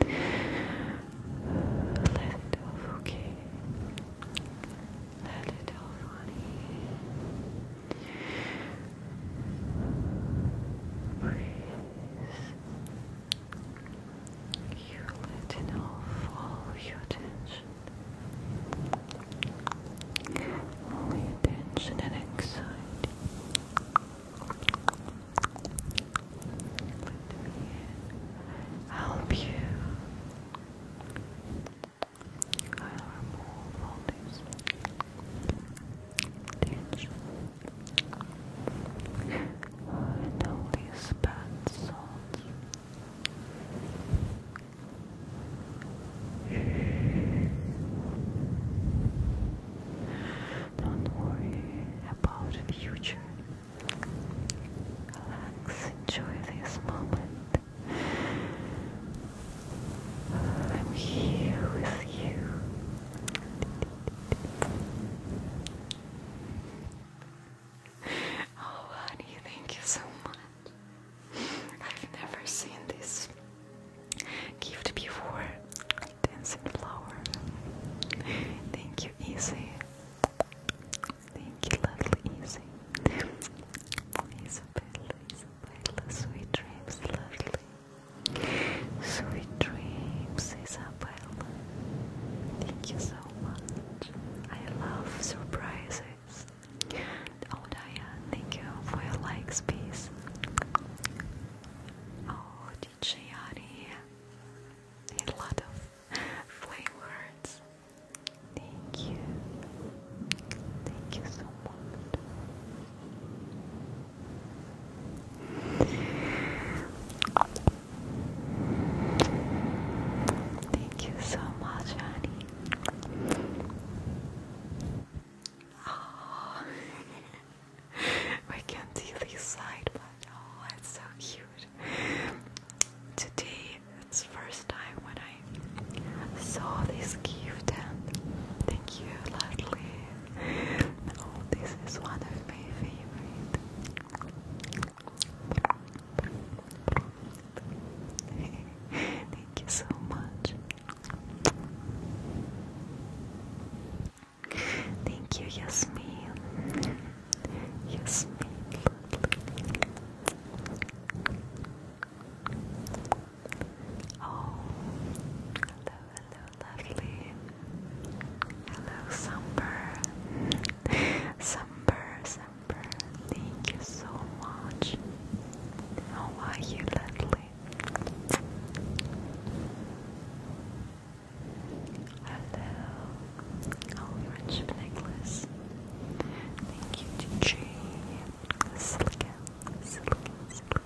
Let it off, okay? Let it off, honey. Breathe. You're letting off all your tension. All your and anxiety help you. I'll remove all this tension and all these bad thoughts. Don't worry about the future. Relax, enjoy this moment. I'm here with you. Oh, honey, thank you so much. I've never seen this gift before dancing flower. Thank you, Easy. Thank you, lovely Easy. Isabella, Isabella, sweet dreams, lovely. Sweet dreams, Isabella. Thank you so much. I love surprises. Oh, Diane, thank you for your likes, peace. Oh, DJ Ari a lot of flame Thank you. Thank you so much. Thank you so much, honey. we can't see this side, but oh, it's so cute. Today, it's first time when I saw this gift, and thank you, Leslie. Oh, this is one of my favorite. Thank you so much. Thank you, Yasmin. Yasmin. Oh, hello, hello, lovely. Hello, Sumper. Sumper, Sumper. Thank you so much. How are you, lovely? Hello. Oh, friendship necklace. Thank you, DJ. Silicon, silicon, silicon.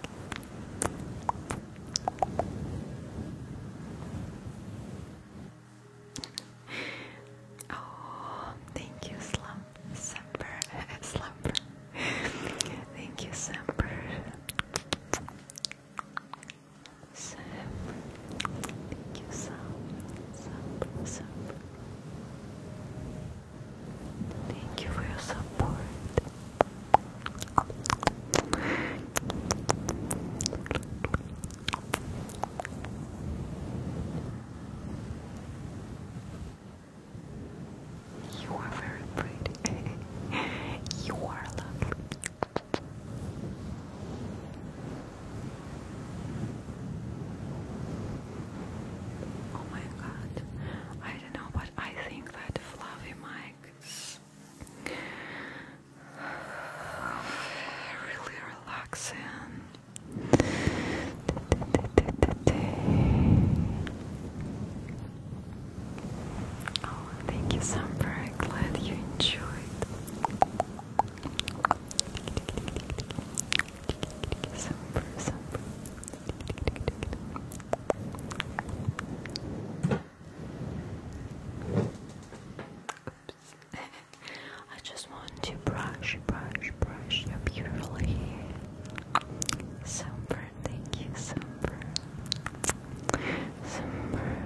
oh, thank you, Slump, Semper, thank you, Semper thank you for your support. You are very pretty. you are lovely. Oh my god. I don't know, but I think that Fluffy Mike really relaxing. Thank you, Samber. Glad you enjoyed. Samber, Samber. Oops. I just want to brush, brush, brush your beautiful hair. Samber, thank you, Samber. Summer.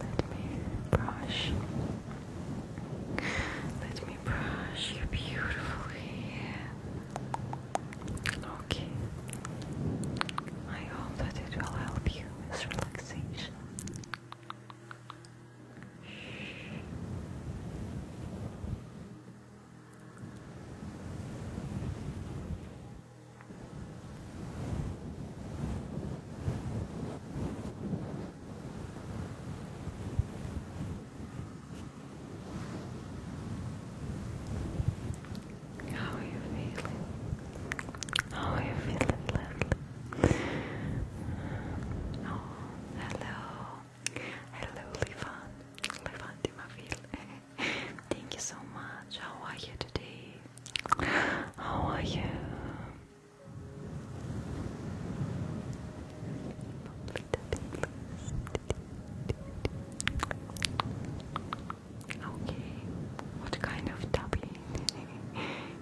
Let me brush. Let me brush you beautifully. Okay. I hope that it will help you with relaxation. How are you feeling? How are you feeling lately? Oh, hello. Hello, Levan. Levan Timaville. Thank you so much. How are you today? How are you? Okay, what kind of tapping?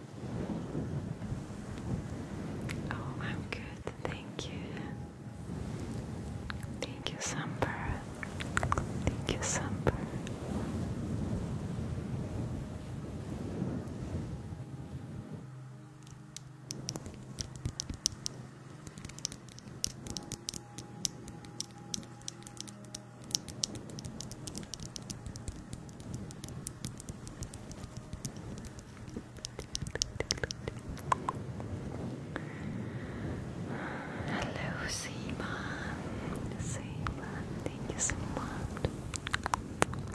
Oh, I'm good, thank you. Thank you, Samper. Thank you, Samper. Hello, Seema. Seema, thank you so much.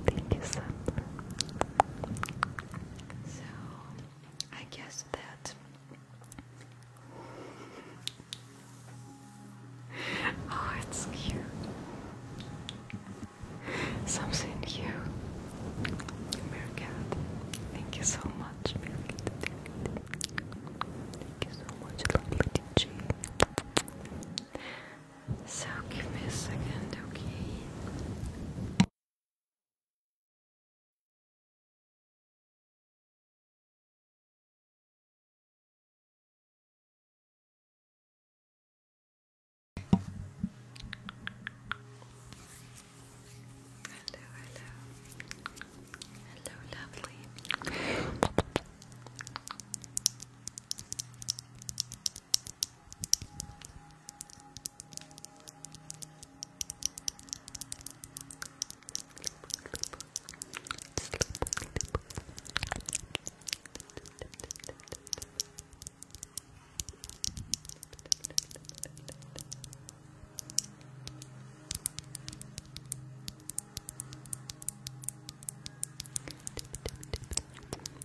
Thank you so much. So, I guess that oh, it's cute something new. Mirkat, thank you so much. thank you so much, lovely DJ. So give me a second, okay? Hello, hello. Hello, lovely. Hello,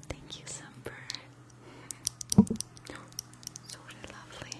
Thank you, Sumper. Oh, so lovely.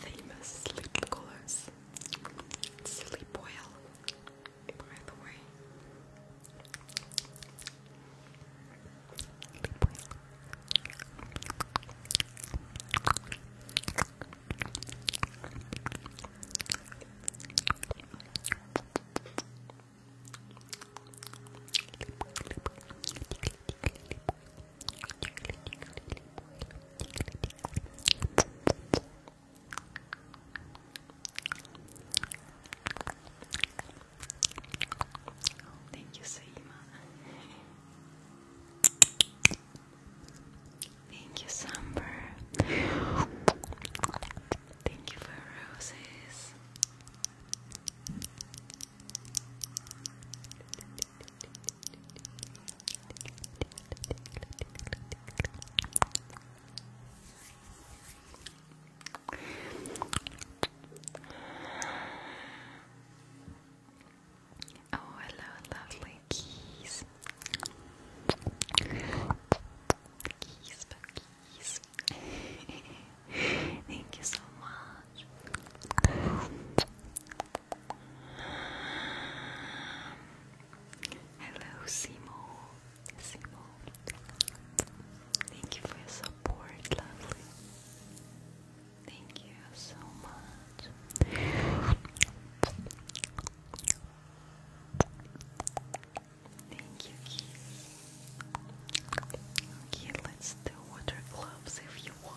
Famous sleep colors. Sleep well, by the way. Oh, thank you, Saima. Thank you, Samber. Thank you for roses. Oh, hello, lovely keys. Keys, keys. Thank you so much. Hello, Simo. Simo. Thank you for your support, lovely. Thank you so much. Thank you, Okay, let's do water gloves if you want.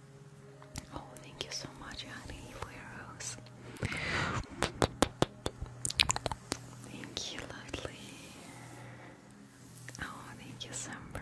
Oh, thank you so much, honey, for your rose. Thank you, lovely. Oh, thank you, Semper.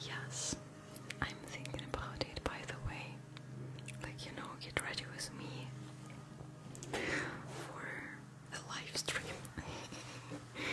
Yes, I'm thinking about it by the way. Like, you know, get ready with me for a live stream.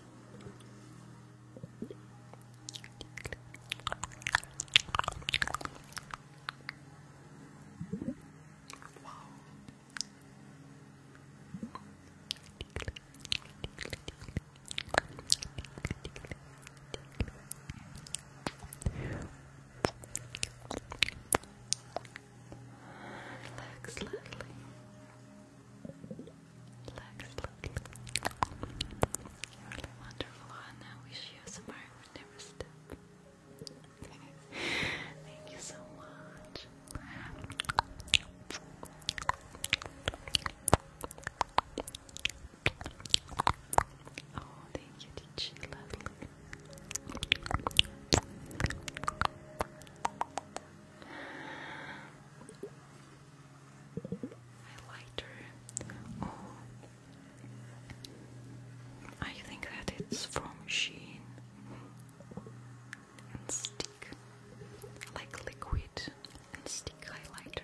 Wow. Relax, Lily. You're wonderful, and I wish you some heart would never stop. Thank you so much. Oh, thank you, teacher highlighter. Oh, I think that it's from Sheen stick, like liquid stick highlighter.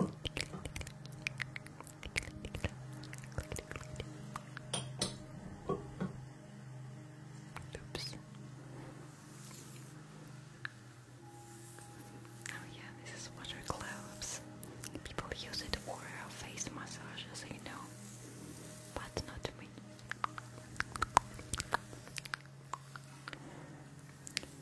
Oops. Oh yeah, this is water gloves. People use it for face massages, you know, but not me.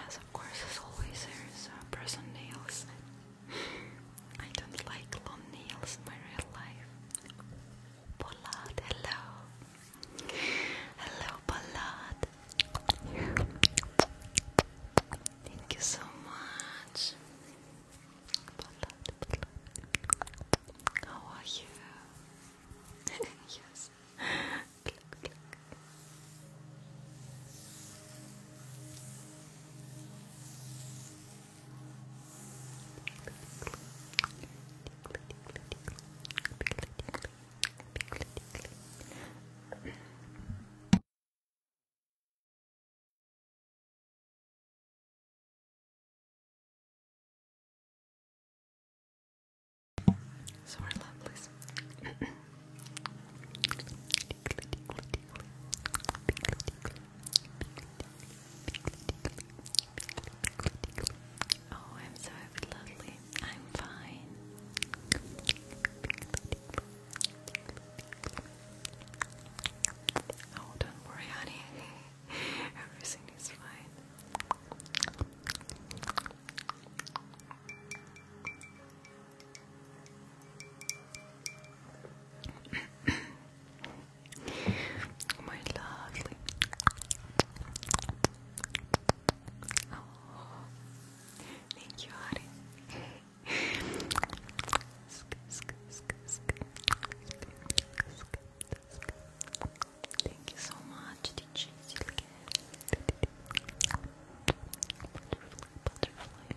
Yes, of course, as always, there's uh, press on nails I don't like long nails in my real life. Pollard, hello. Hello, Pollard. Thank you so much. How are you? yes. So our lovelies. Oh, I'm so lovely. I'm fine. Oh, don't worry, honey. Everything is fine. My lovely. Oh, thank you, honey. Thank you so much, DJ butterfly, butterfly,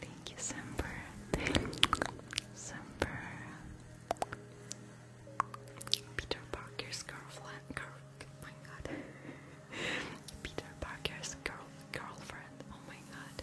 Thank you, Semper. Semper. Peter Parker's girlfriend. oh my god. Peter Parker's girl, girlfriend. Oh my god.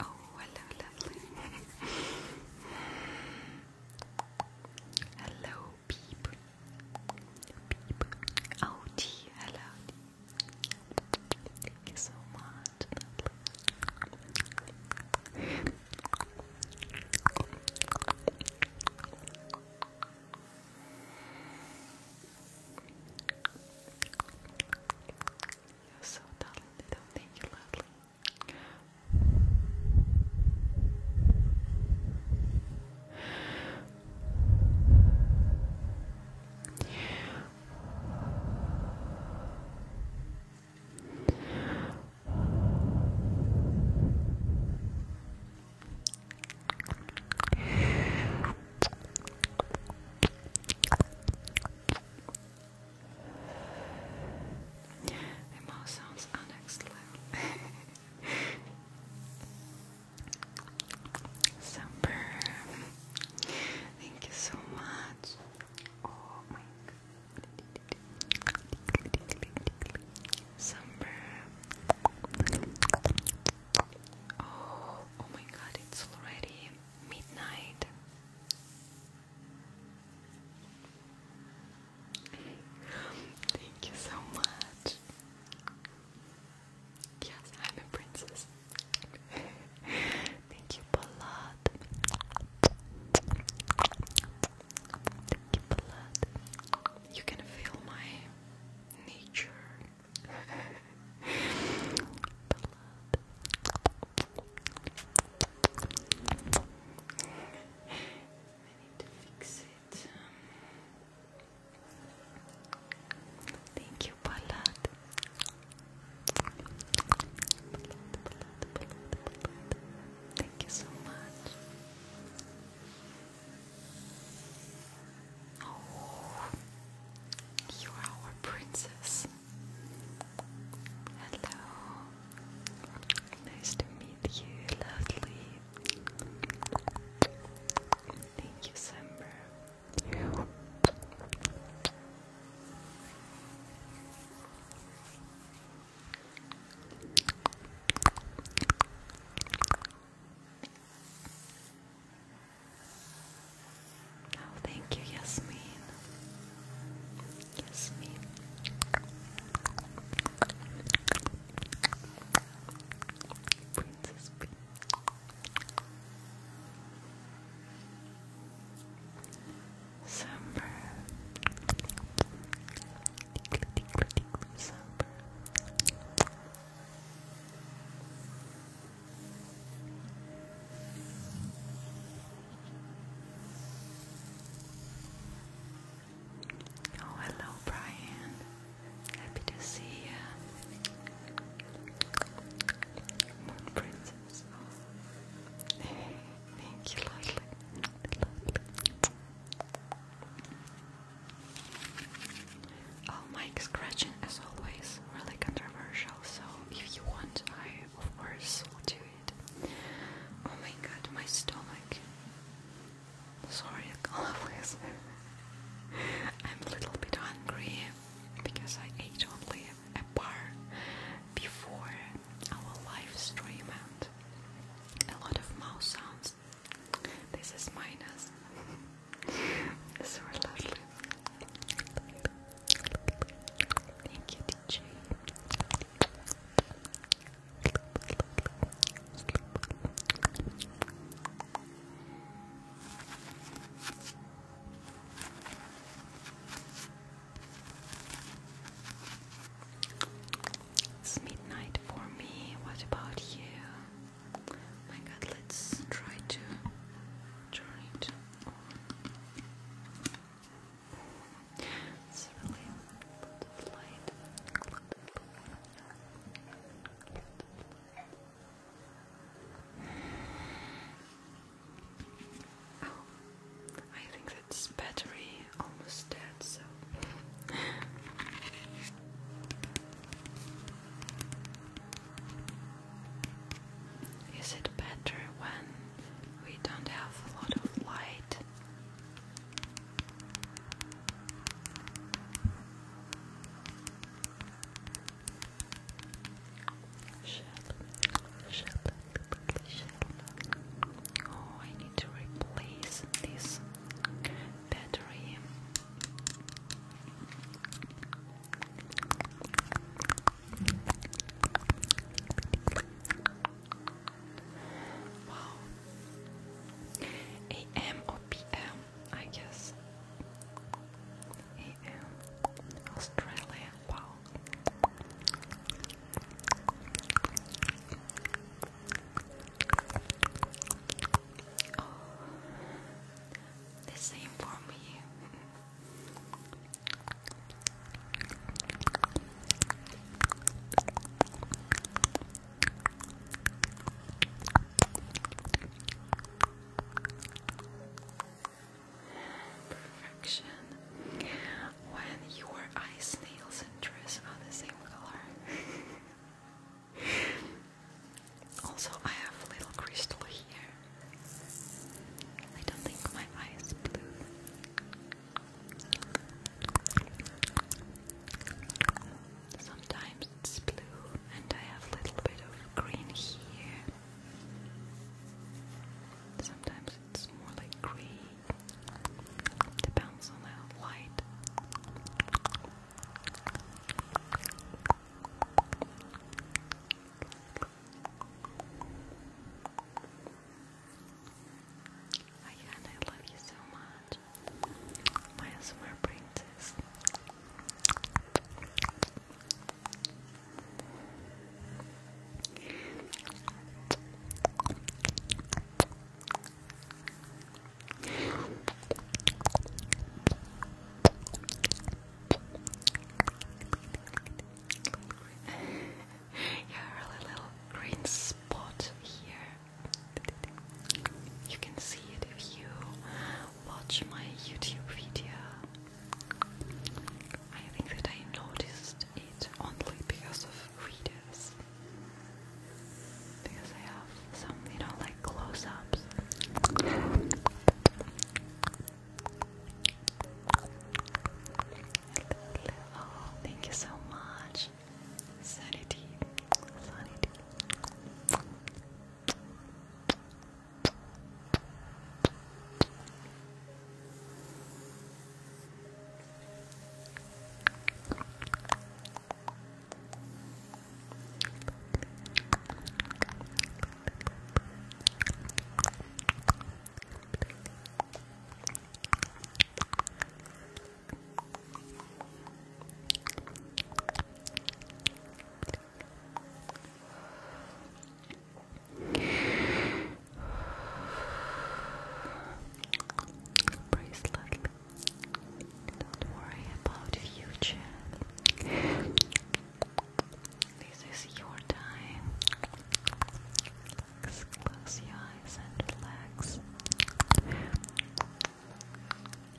Oh, hello, lovely. hello, peep. Peep. Oh, Hello. Thank you so much. You're so talented. Oh, thank you, lovely. It more sounds annexed loud. Thank you so much. oh my oh, oh god, it's already midnight. Thank you so much. Yes, I'm a princess. Thank you, Palad. Thank you, Palad. You can feel my nature. I need to fix it. Thank you, Palad. Thank you so much. Oh, you are our princess. Hello. Nice to meet you, lovely. Thank you, Sember. Oh, thank you, Yasmin. Yasmin. Princess P. Summer. summer. Oh, hello, Brian. Happy to see you. Moon Princess. Oh. thank you, lovely. lovely. Oh, scratching as always really controversial, so if you want, I of course will do it. Oh my god, my stomach. Sorry, always. I'm a little bit hungry because I ate only a bar before our live stream and a lot of mouse sounds. This is minus. so lovely. Thank you, It's midnight for me. What about you? My God, let's try to turn it it's really lots light. Oh, I think that's battery almost dead, so. Is it better when we don't have a lot of light? Oh, I need to replace this battery. Wow. AM or PM, guess. AM. Australia. Wow. Oh, the same for me. Perfection. When your eyes, nails, and dress are the same color. also, I have a little crystal here. I don't think my eye blue. Sometimes it's blue, and I have a little bit of green here. Sometimes it's more like grey. Depends on the light. Oh, Again, I love you so much. My smart princess. yeah, really little green spot here. You can see it if you watch my YouTube video. I think that I noticed it only because of readers. Because I have some, you know, like close ups thank you so much. Sanity. Sanity. Bracelet. Don't worry about future. This is your time. Close your eyes and relax.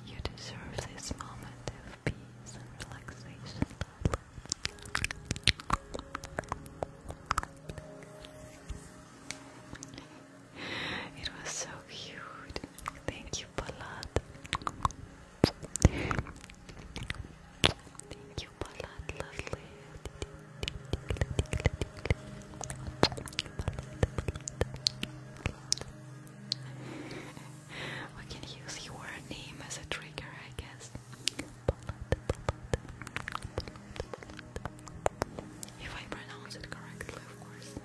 You deserve this moment of peace and relaxation. It was so cute. Thank you, Palat. Thank you for that, lovely. we can use your name as a trigger, I guess. If I pronounce it correctly, of course.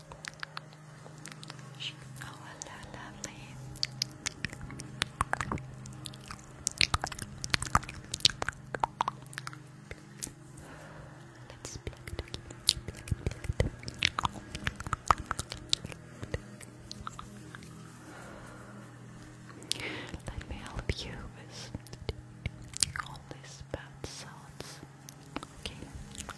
Oh, hello, lovely. Let's pluck Let me help you with all these bad sounds. Okay.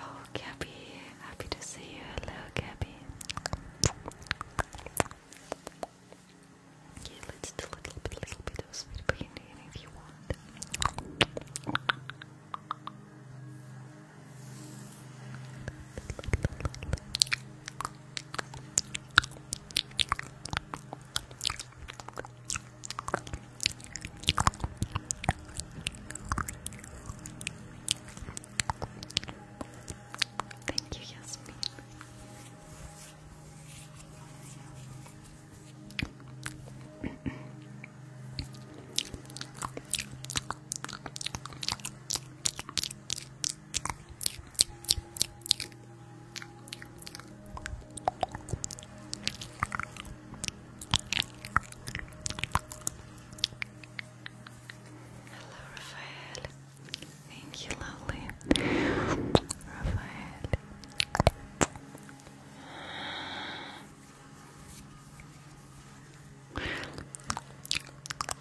Oh, Gabby, happy to see you. Hello, Gabby. Okay, let's do a little bit, little bit of sweet painting if you want. Thank you, Yasmin. Hello, Raphael. Thank you, lovely. Raphael.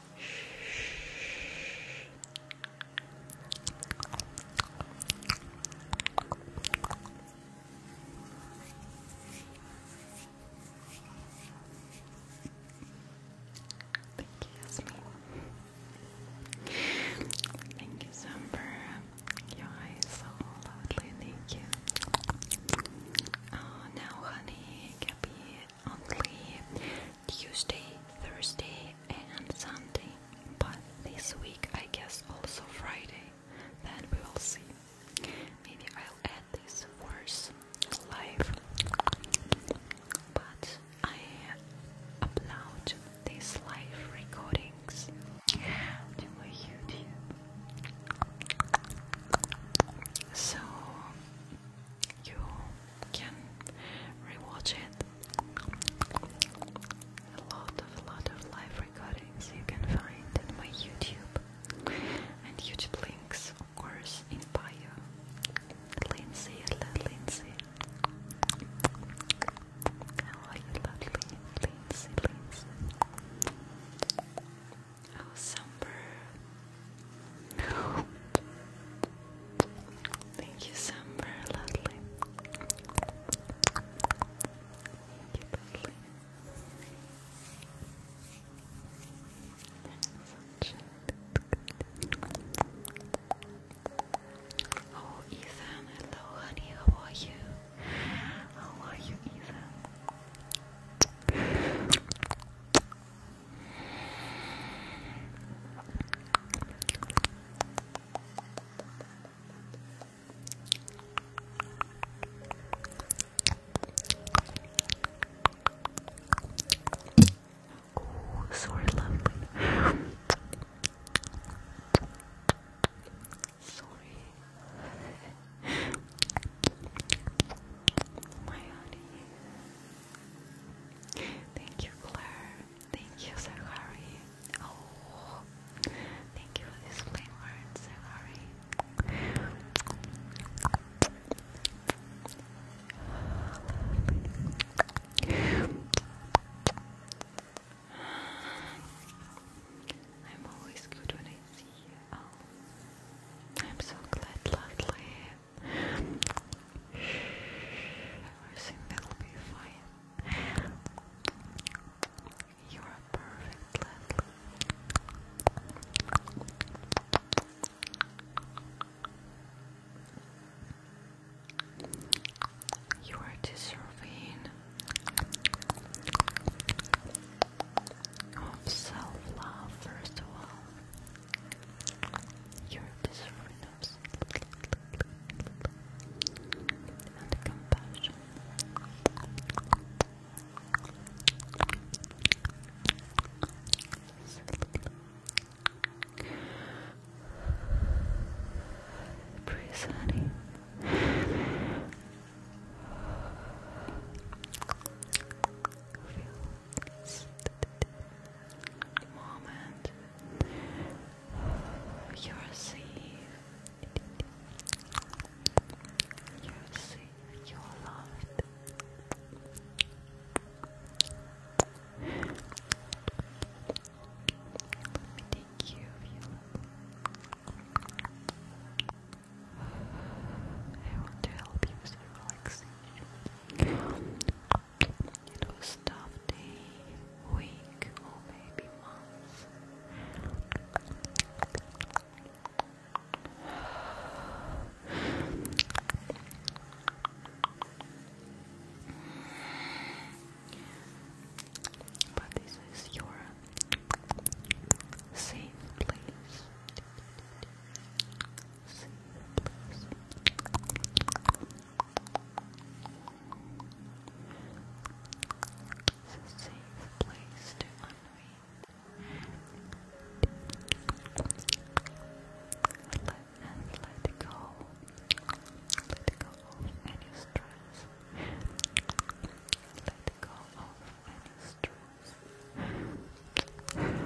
Thank you, Yasmin. you, Summer. so lovely. Thank you. Oh, now, honey, Gabby, Only, Tuesday, Thursday, and Sunday, but this week I guess also Friday. Then we will see. Maybe I'll add this first live, but I upload these live recordings to YouTube. So you can rewatch it. A lot of lot of live recordings you can find in my YouTube and YouTube links, of course, in bio. Lindsay, Lindsay. How are you, lovely Lindsay, Oh, somber. Thank you, Summer, lovely. Thank lovely. Oh, Ethan, hello, honey, how are you? How are you, Ethan? Oh, sorry, lovely. sorry. My honey. Thank you, Claire. Thank you, Sir Oh, thank you for this flame word, Sir I'm always good when I see you. Oh, I'm so glad, lovely. Everything will be fine. You're perfect You are deserving of self love, first of all. You're deserving nose and Breathe, honey. Feel this moment you're safe. You're safe. You're loved. Let you. I want to help you with relaxation. It was tough day, week, or maybe month. But this is your safe place. Safe place. It's a safe place to unwind. Let, and let go. Let go of any stress. Let go of any stress.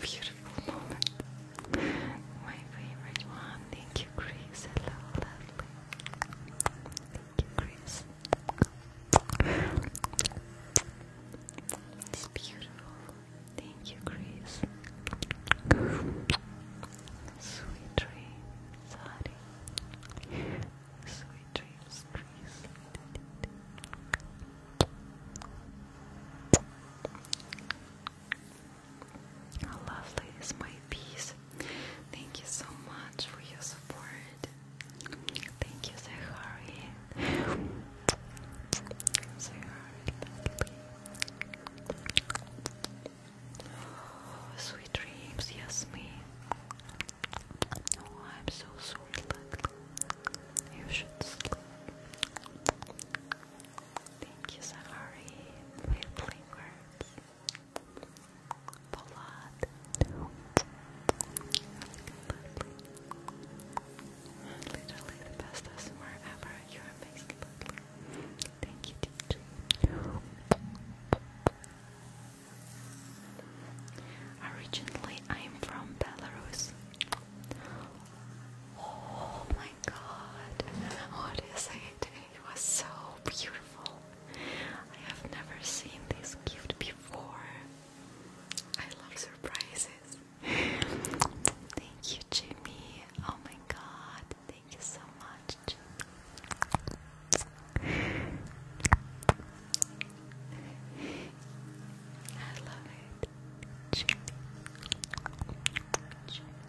Beautiful moment. My favorite one. Thank you, Grace. Hello, lovely. Thank you, Chris. It's beautiful. Thank you, Chris. Sweet dreams, sorry. Sweet dreams, Chris. How lovely is my piece. Thank you so much for your support. Thank you, Zahari. sweet dreams, yes, Oh, I'm so sweet, lovely. You should sleep. Thank you, Zahari. My fingers. Polad. Literally the best ever. You're amazing. Thank you, DJ. Originally, I'm from Belarus. Oh my god, what is it? It was so beautiful. I have never seen this gift before. I love surprises. Thank you, Jimmy. Oh my god. Thank you so much, Jimmy. I love it. Jimmy. Jimmy.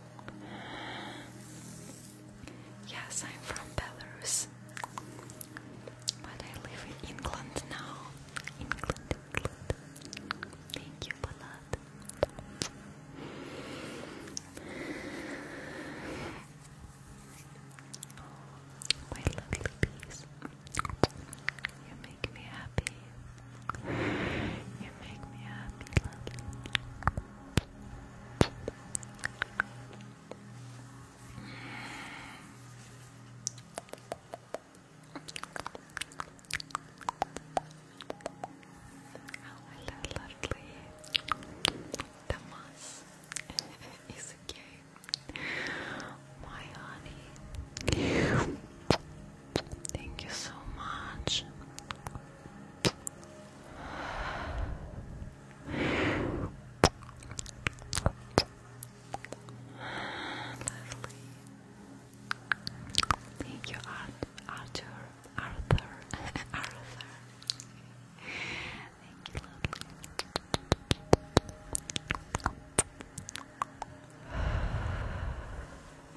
Yes, I'm from Belarus, but I live in England now. England, England. Thank you a oh, my lovely bees. You make me happy. You make me happy, love. Oh, hello, lovely. is a gay. My honey. Thank you so much. Lovely. Thank you, Arthur. Arthur. Arthur. lovely.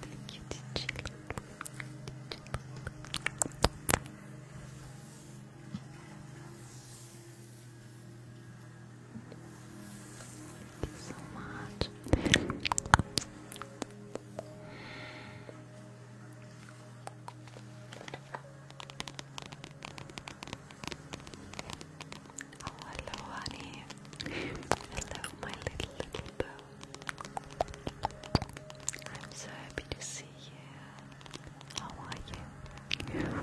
Thank you, Titi. Thank you so much. Oh, hello, honey. Hello, my little, little bow. I'm so happy to see you. How are you?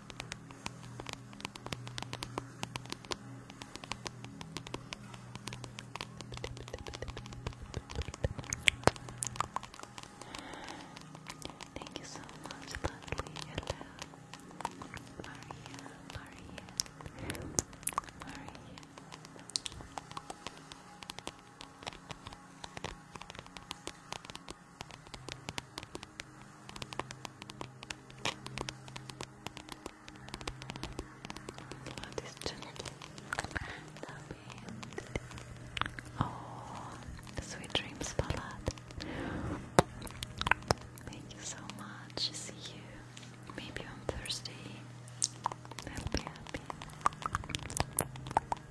Thank you so much, lovely. Hello, Maria, Maria, Maria. Thank what is Oh, sweet dreams, Ballad. Thank you so much. See you maybe on Thursday. I'll be happy.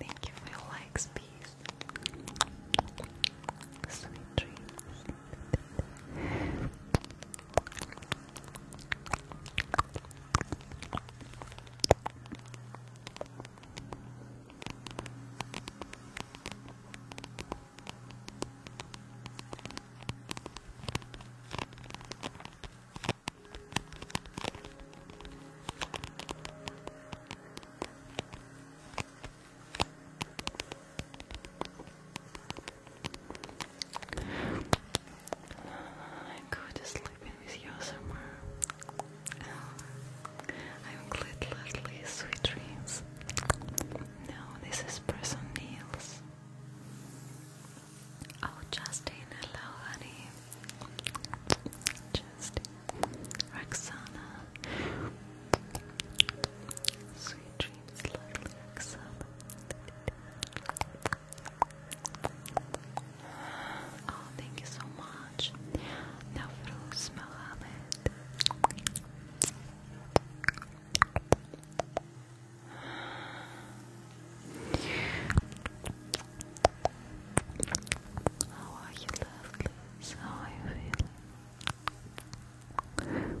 Thank you for your likes, peace. Sweet dreams. I go to sleeping with you somewhere. I'm glad lovely sweet dreams. No, this is Press on Oh, Justin, hello, honey. Justine, Roxana. Sweet dreams, lovely Roxana. Oh, thank you so much. Nafruz Mohammed. How are you, lovelies? How are you feeling? Lovely.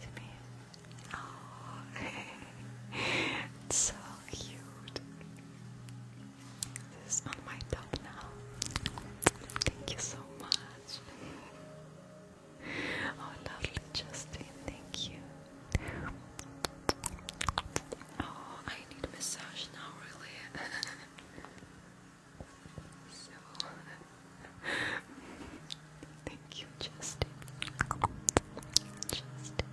Let me. Oh, so cute. This is on my top now. Thank you so much. Oh, lovely, Justin. Thank you. Oh, I need a massage now, really. so, thank you, Justin. Justin,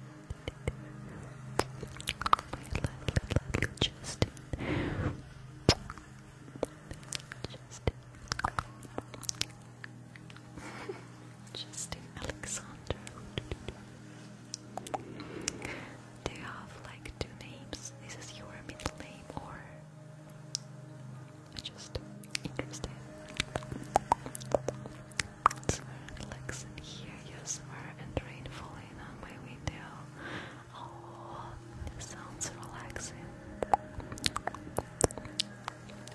my little, little Justin. Justin. Justin Alexander. Do have like two names? This is your middle name, or just interesting. relaxing here, yes, rain falling on my window. Oh, sounds relaxing.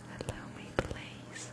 Hello, my place.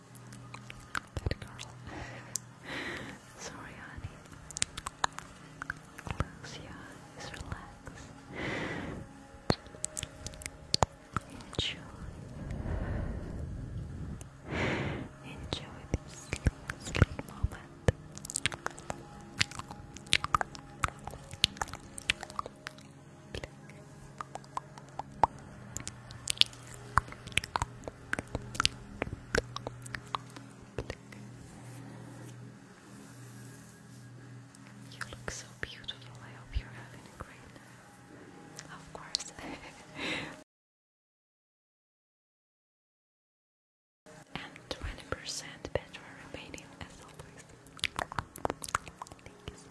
Good girl. Sorry, honey. Close your eyes, relax. Enjoy. Enjoy this sleep, moment. You look so beautiful. I hope you're having a great night. Of course. and 20% better remaining as always. Thank you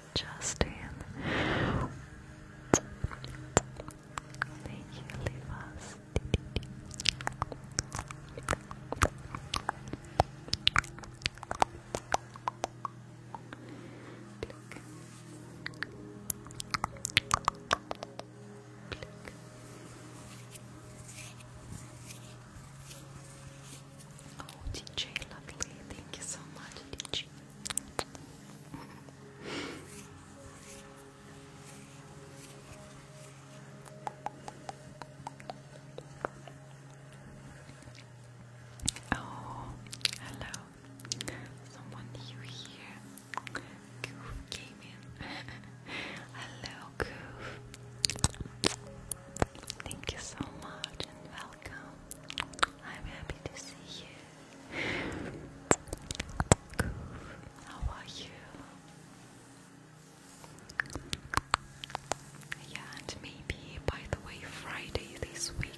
Justin. Thank you, Livas. Oh, DJ, lovely. Thank you so much, DJ. Oh, hello. Someone new here. Goof came in. hello, Goof. Thank you so much and welcome. I'm happy to see you. Cool. How are you? Yeah, and maybe by the way, Friday this week.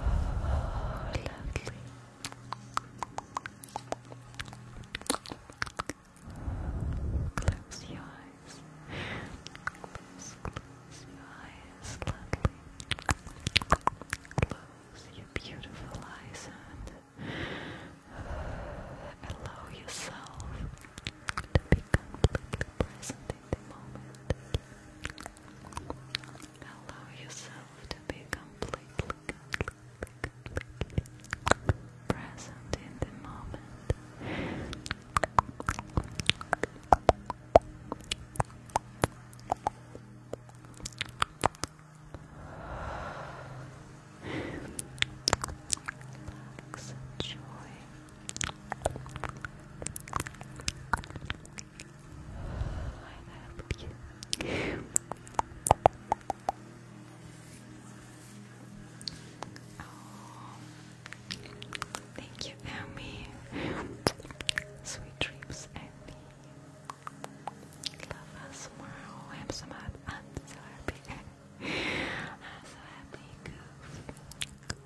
Oh, lovely. Close your eyes. close your eyes, lovely. Close your beautiful eyes and allow yourself to be completely present in the moment. Allow yourself to be completely, present in the moment. Relax, enjoy thank you, Emmy. Sweet dreams, Emmy. Love us more. Oh, I'm I'm so happy. I'm so happy.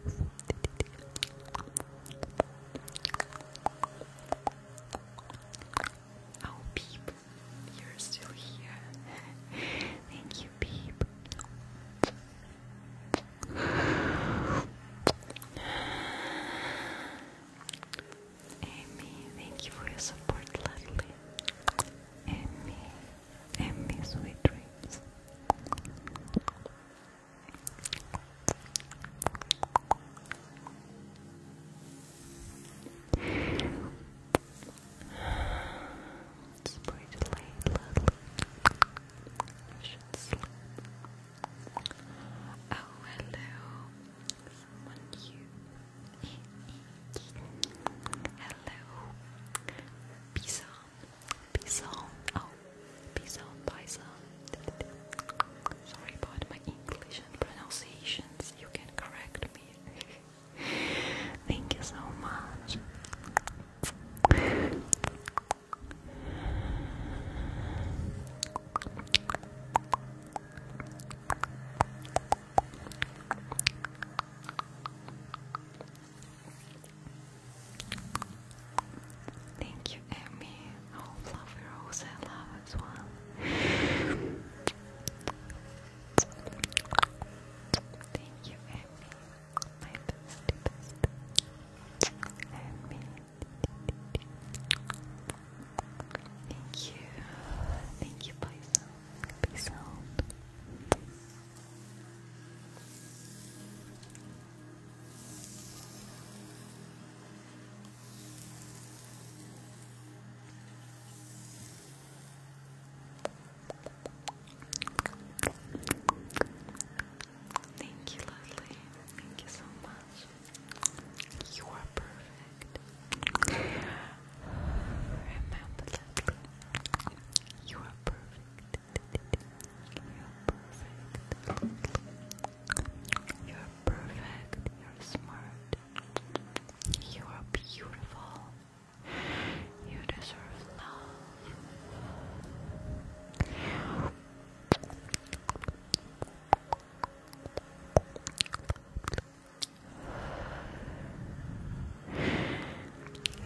Goof. Oh, Peep, you're still here. Thank you, Peep. Amy, thank you for your support, lovely. Amy, Amy, sweet dreams. It's pretty late, should sleep. Oh, hello. you. hello. Peace on. Peace on. Oh, Peace out, Paisa. Sorry about my English and pronunciations. You can correct me. Thank you so much. Thank you, Emmy. Oh, love Rose, I love as well. Thank you, Emmy. My bestie, Emmy. Thank you. Thank you, Bison. Peace out. Thank you, lovely. Thank you so much. You are perfect. Remember that. You are perfect. You're perfect. You're perfect. You're smart. You are beautiful. You deserve love.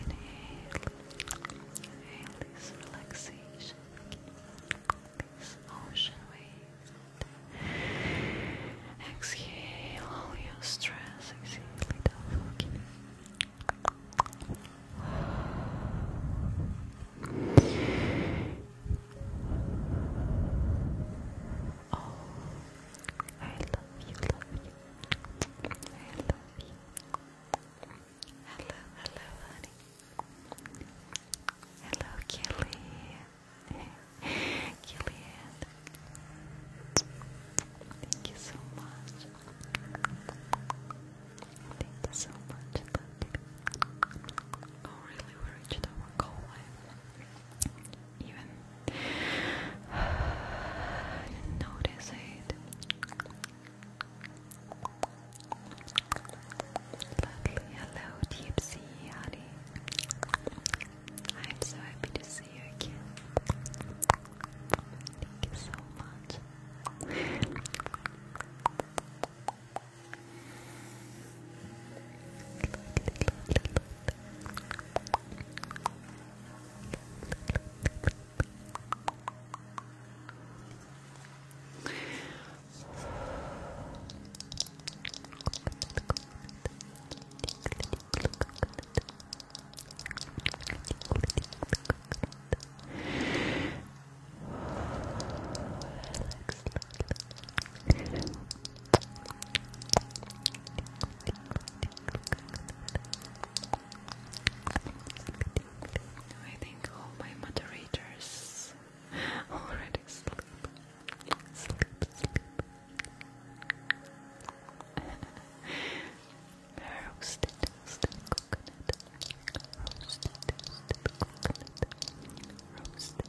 Inhale, inhale this relaxation. Inhale, ocean wind. Exhale all your stress, exhale it Oh, I love you, love you. I love you. Hello, hello, honey. Hello, Kelly. Killian. Thank you so much. Thank you so much. Oh, really? We reached our goal. Even I it. Hello, Gypsy, honey. I'm so happy to see you again. Thank you so much. I think all my moderators Already sleep. Sleep, sleep. roasted, roasted coconut. Roasted, roasted coconut. Roasted, roasted coconut.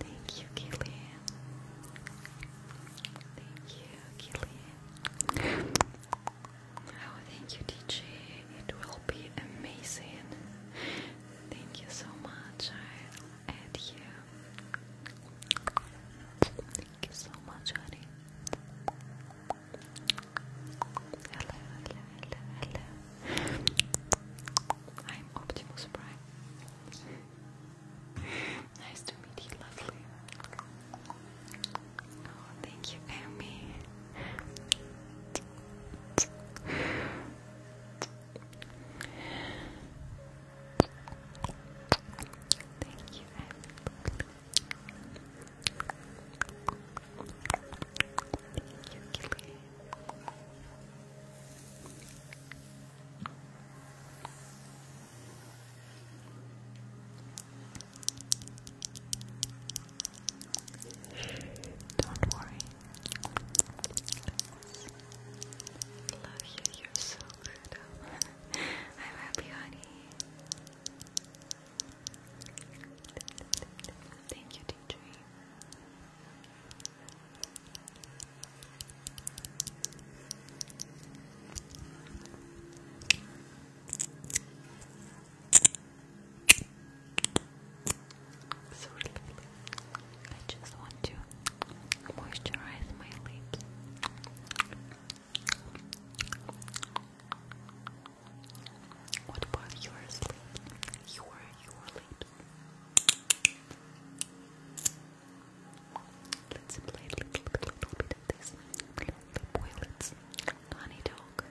Thank you, Killian. Thank you, Killian. Oh, thank you, DJ. It will be amazing. Thank you so much. I'll you. Thank you so much, honey. Hello, hello, hello, hello. I'm Optimus Prime. nice to meet you, lovely. Oh, thank you, Amy. Thank you, Thank you, Don't worry. love you, you're so good. I'm happy, honey. Thank you, DJ. So lovely. I just want to moisturize my lips. What about yours? You are, you are late. Let's play little, little, little bit of this. Boilets, honey dog.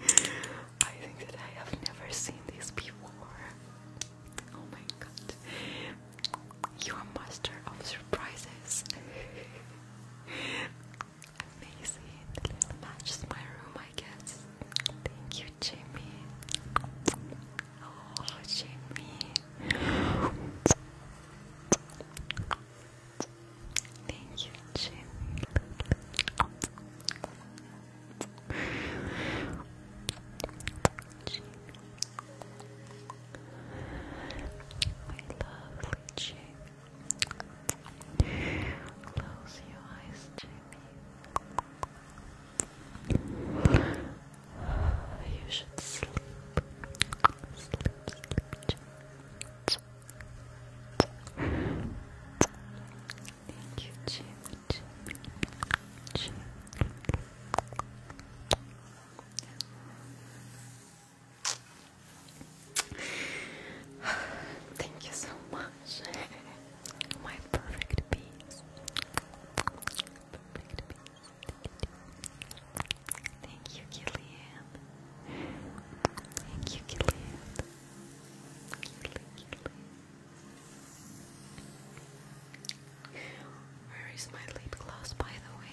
I think that I have never seen this before. Oh my god. You're a master of surprises. Amazing. matches my room, I guess. Thank you, Jimmy. Oh, Jimmy. Thank you, Jimmy lovely Jim. Close your eyes, Jimmy. You should Sleep, sleep, Jimmy. Thank you, Jim. Jim. Jim. Thank you so much. My perfect piece. Perfect piece. Thank you, Gillian. Thank you, Gillian. Where is my lip gloss, by the way?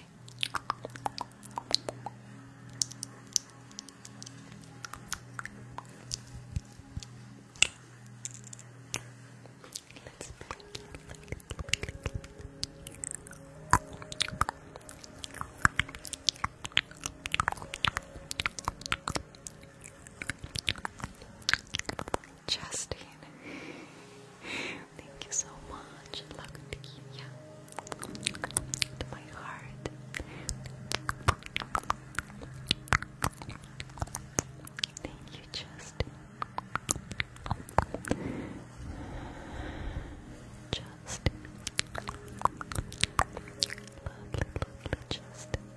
Justin, thank you so much. Look at my heart. Thank you, Justine. Justine, lovely, lovely Justine.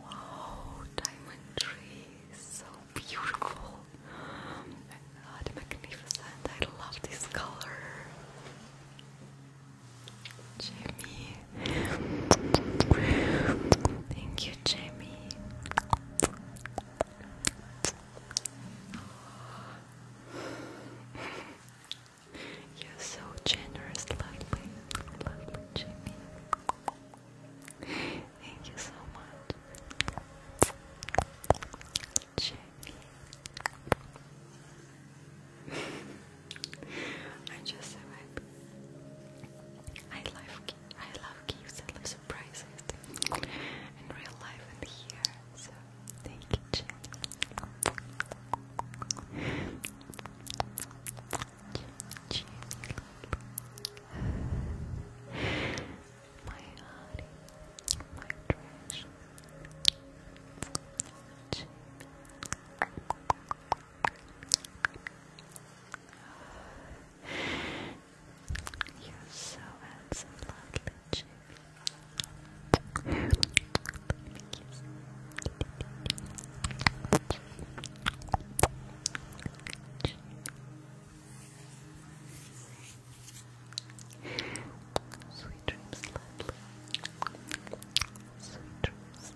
Wow, diamond tree, so beautiful. Oh magnificent. I love this color. Jamie. Thank you, Jamie. You're so generous, lovely, lovely Jimmy. Thank you so much, Jimmy. I'm just so happy. I love, I love gifts. I love surprises in real life and here. Thank you, Jen. Jen, Jen. My honey, my treasure. Jen. You're so handsome, lovely Sweet dreams, lovely. Sweet dreams.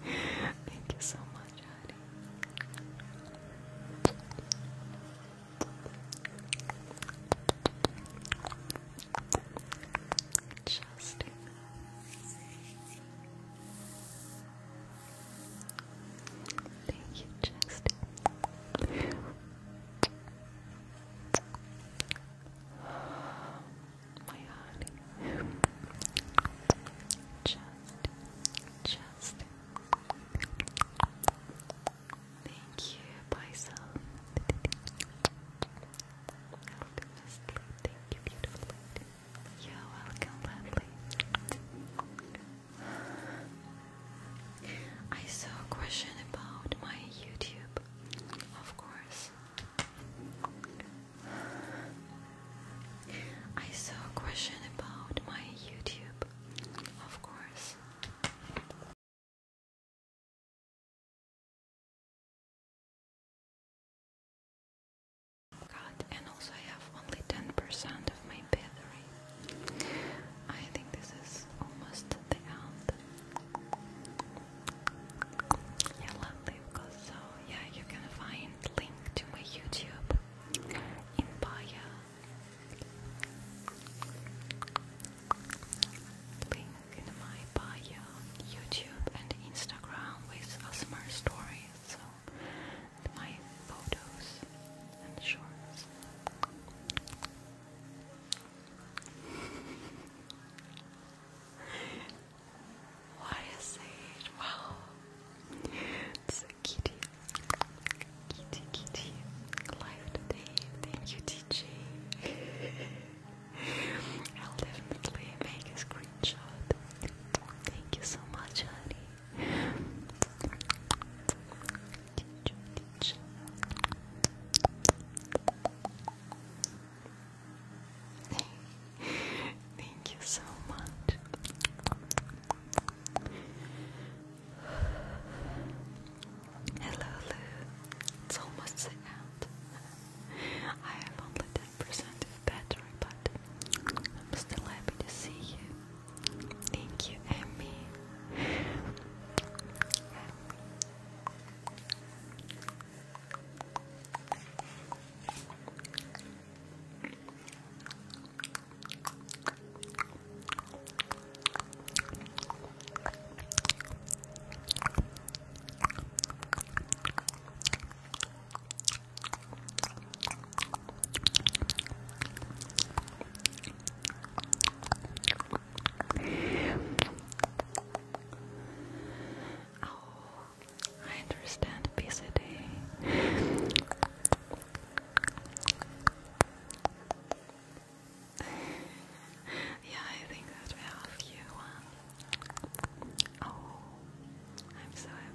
Thank you so much. Just Thank you, Justin. My honey. Justin, Justin, Thank you, bye, I hope you Thank you, beautiful lady. welcome, lovely. I saw a question about my YouTube, of course. I saw a question about my YouTube, of course. God, and also I have only 10% of my battery. I think this is almost the end. Yeah, lovely, because yeah, you can find link to my YouTube in bio Link in my bio YouTube and Instagram with Asmr stories, so my photos and shorts. What is it? Wow. That's kitty. Kitty, kitty. Live today. Thank you, DJ. I'll definitely make a screenshot. Thank you so much, honey. Teacher, teacher. Thank you so much. Hello, Lou. It's almost the end. I have only 10% of battery, but I'm still happy to see you. Thank you, Emmy. Oh, I understand obesity. yeah, I think that will help you. Wow. Oh, I'm so happy.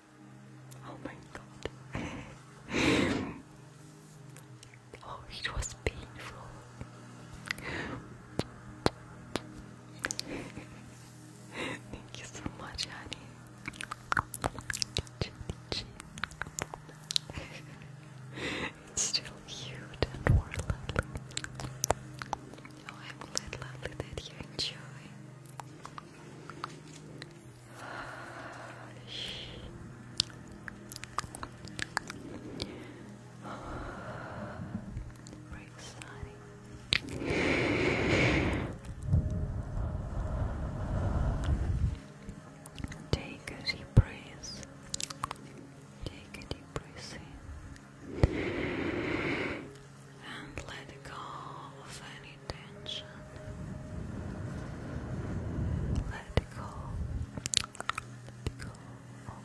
Oh my god. oh, it was painful. Thank you so much, honey. it's still cute and more oh, I'm glad, that you enjoy. Take a deep breath. Take a deep breath in. And let go Attention. Let go. Let go of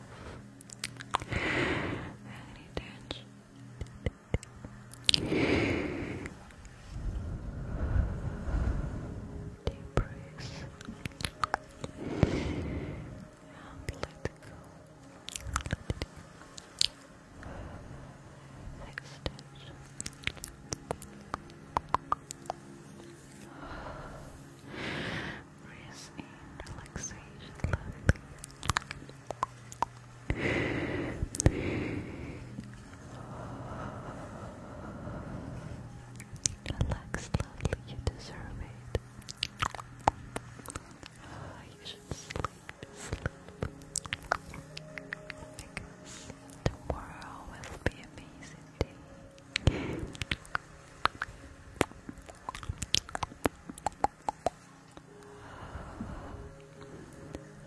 Deep breath. And let go. Extend. Rest in Relax, lovely. You deserve it. Oh, you should sleep, sleep. Tomorrow will be amazing day.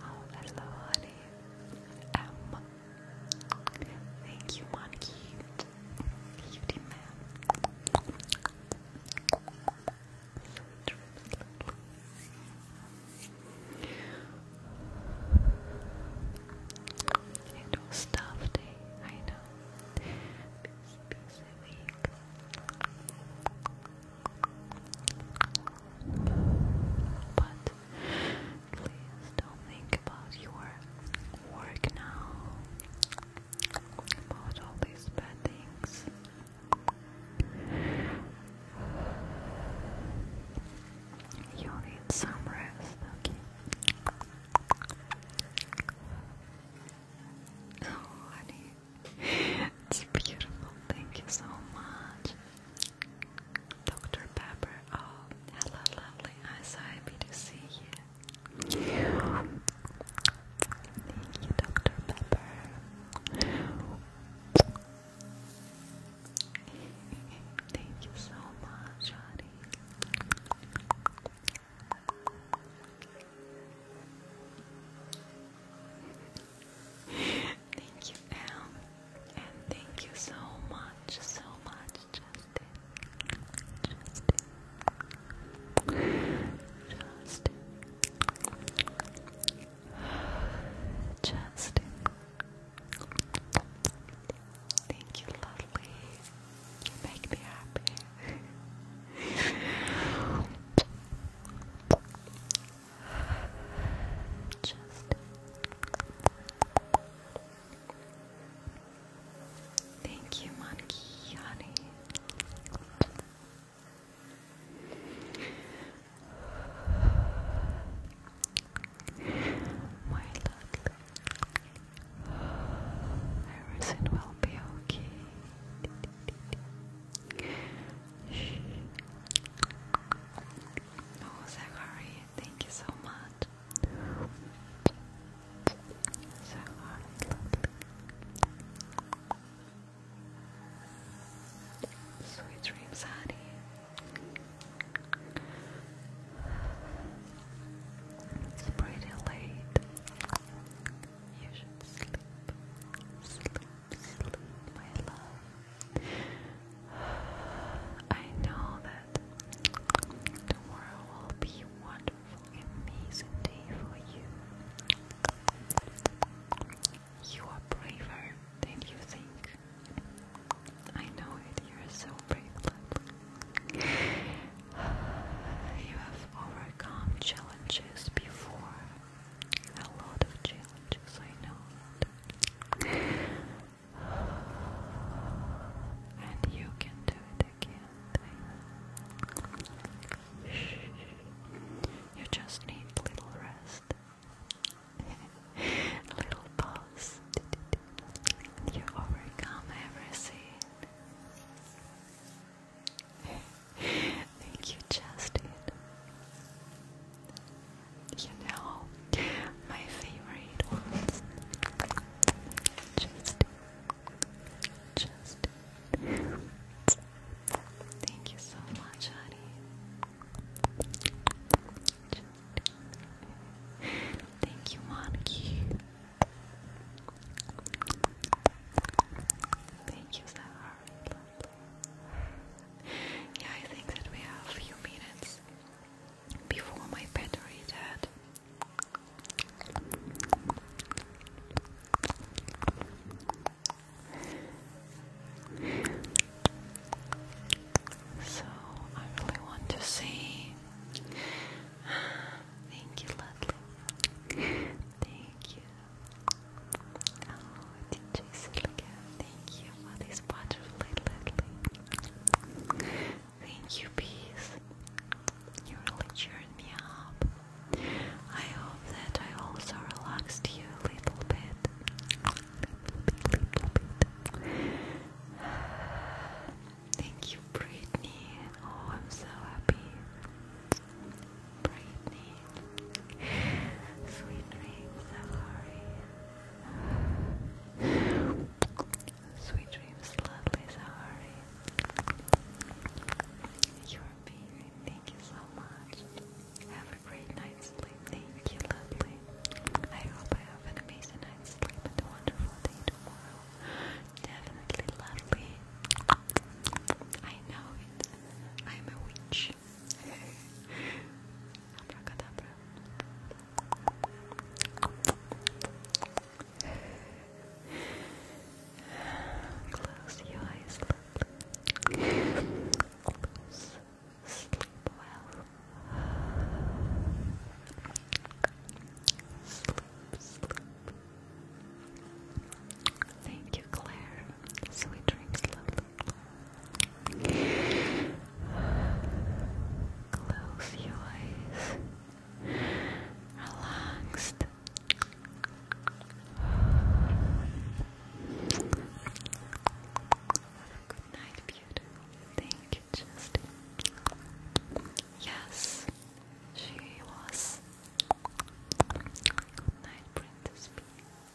Oh, that's so honey. Um, thank you, monkey. Beauty man. Sweet dreams, it was a day, I know. busy week. But please don't think about your work now. About all these bad things. You need some rest, okay? Oh, honey, it's beautiful. Thank you so much. Dr. Pepper, oh, hello, lovely. I'm so happy to see you. Thank you, Dr. Pepper. Thank you so much, honey. thank you, Em. And thank you so much, so much, Justin. Justin. Justin. Justin. Thank you, lovely. You make me happy. Just Thank you, monkey honey. My love, everything will be okay. Shh. Oh, thank you so much. Sweet dreams, honey. It's pretty late. You should sleep. Sleep, sleep, my love. I know that tomorrow will be wonderful, amazing day for you. You are braver than you think. I know it, you're so brave, You have overcome challenges before. A lot of challenges, I know And you can do it again. You just need little rest. Little pause. You overcome everything. Thank you, Justin. You know, my favorite ones. Justin. Justin. Thank you so much, honey. Thank you, Monkey. Thank you, Sarah. Yeah, I think that we have a few minutes before my battery dead. So I really want to say thank you, Ludley. Thank you. Oh, DJ Silica, thank you for this butterfly, Ludley. Thank you, peace. You really cheered me up. I hope that I also relaxed you a little bit. Thank you, Brittany. Oh, I'm so happy. Brittany. Sweet dreams, Zahari. Sweet dreams, lovely Zahari. You're amazing. Thank you so much. Have a great night's sleep. Thank you, lovely. I hope I have an amazing night's sleep and a wonderful day tomorrow. Definitely lovely. I know it. I'm a witch. Abracadabra. Close your eyes, lovely. Close. Sleep well. Sleep, Thank you, Claire. Sweet dreams, love. Close your eyes. Relaxed. Good night, beautiful. Thank Yes, she was Night Princess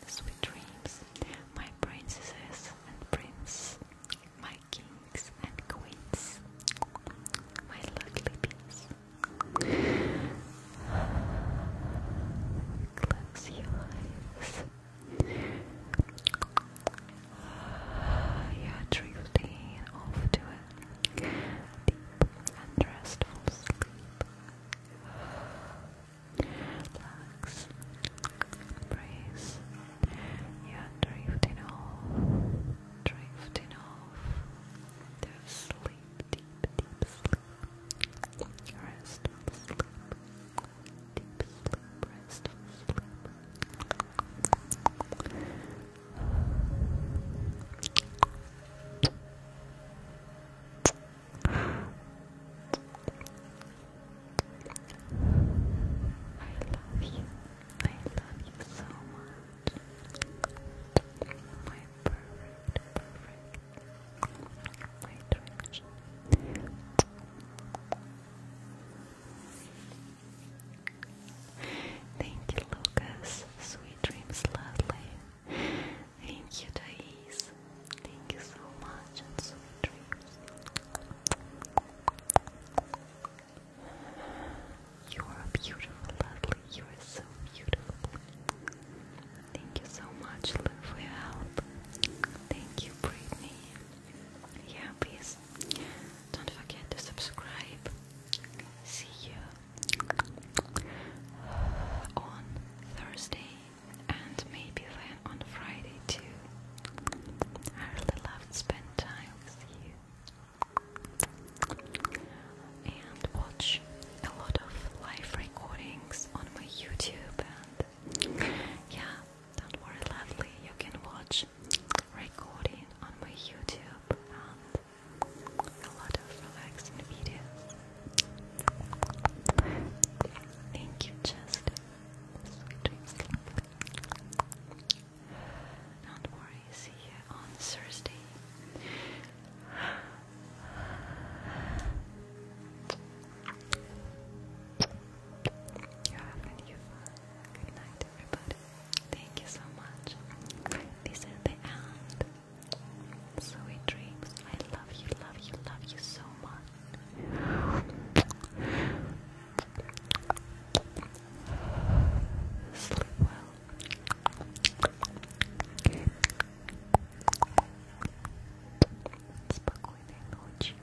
Sweet dreams, my princesses and prince, my kings and queens, my lovely bees. Close your eyes. Yeah, drifting off to a deep and restful sleep. Relax, brace. Yeah, drifting off, drifting off to sleep, deep, deep sleep, restful sleep. Deep I love you. I love you so much. My perfect, perfect, my direction. Thank you, Lucas. Sweet dreams, lovely. Thank you, Thais. Thank you so much, and sweet dreams. You are beautiful, lovely. You are so beautiful. Thank you so much, Lou, for your help. Thank you, Brittany yeah, please don't forget to subscribe. See you on Thursday and maybe then on Friday too. I really love to spend time with you and watch a lot of live recordings on my YouTube and yeah, don't worry lovely, you can watch recording on my YouTube and a lot of relaxing videos. Thank you, Justin. Sweet dreams. not worry, see on Thursday. You have a new phone. Good night, everybody. Thank you so much. This is the end. Sweet dreams. I love you, love you, love you so much. Sleep well. Спокойной ночи.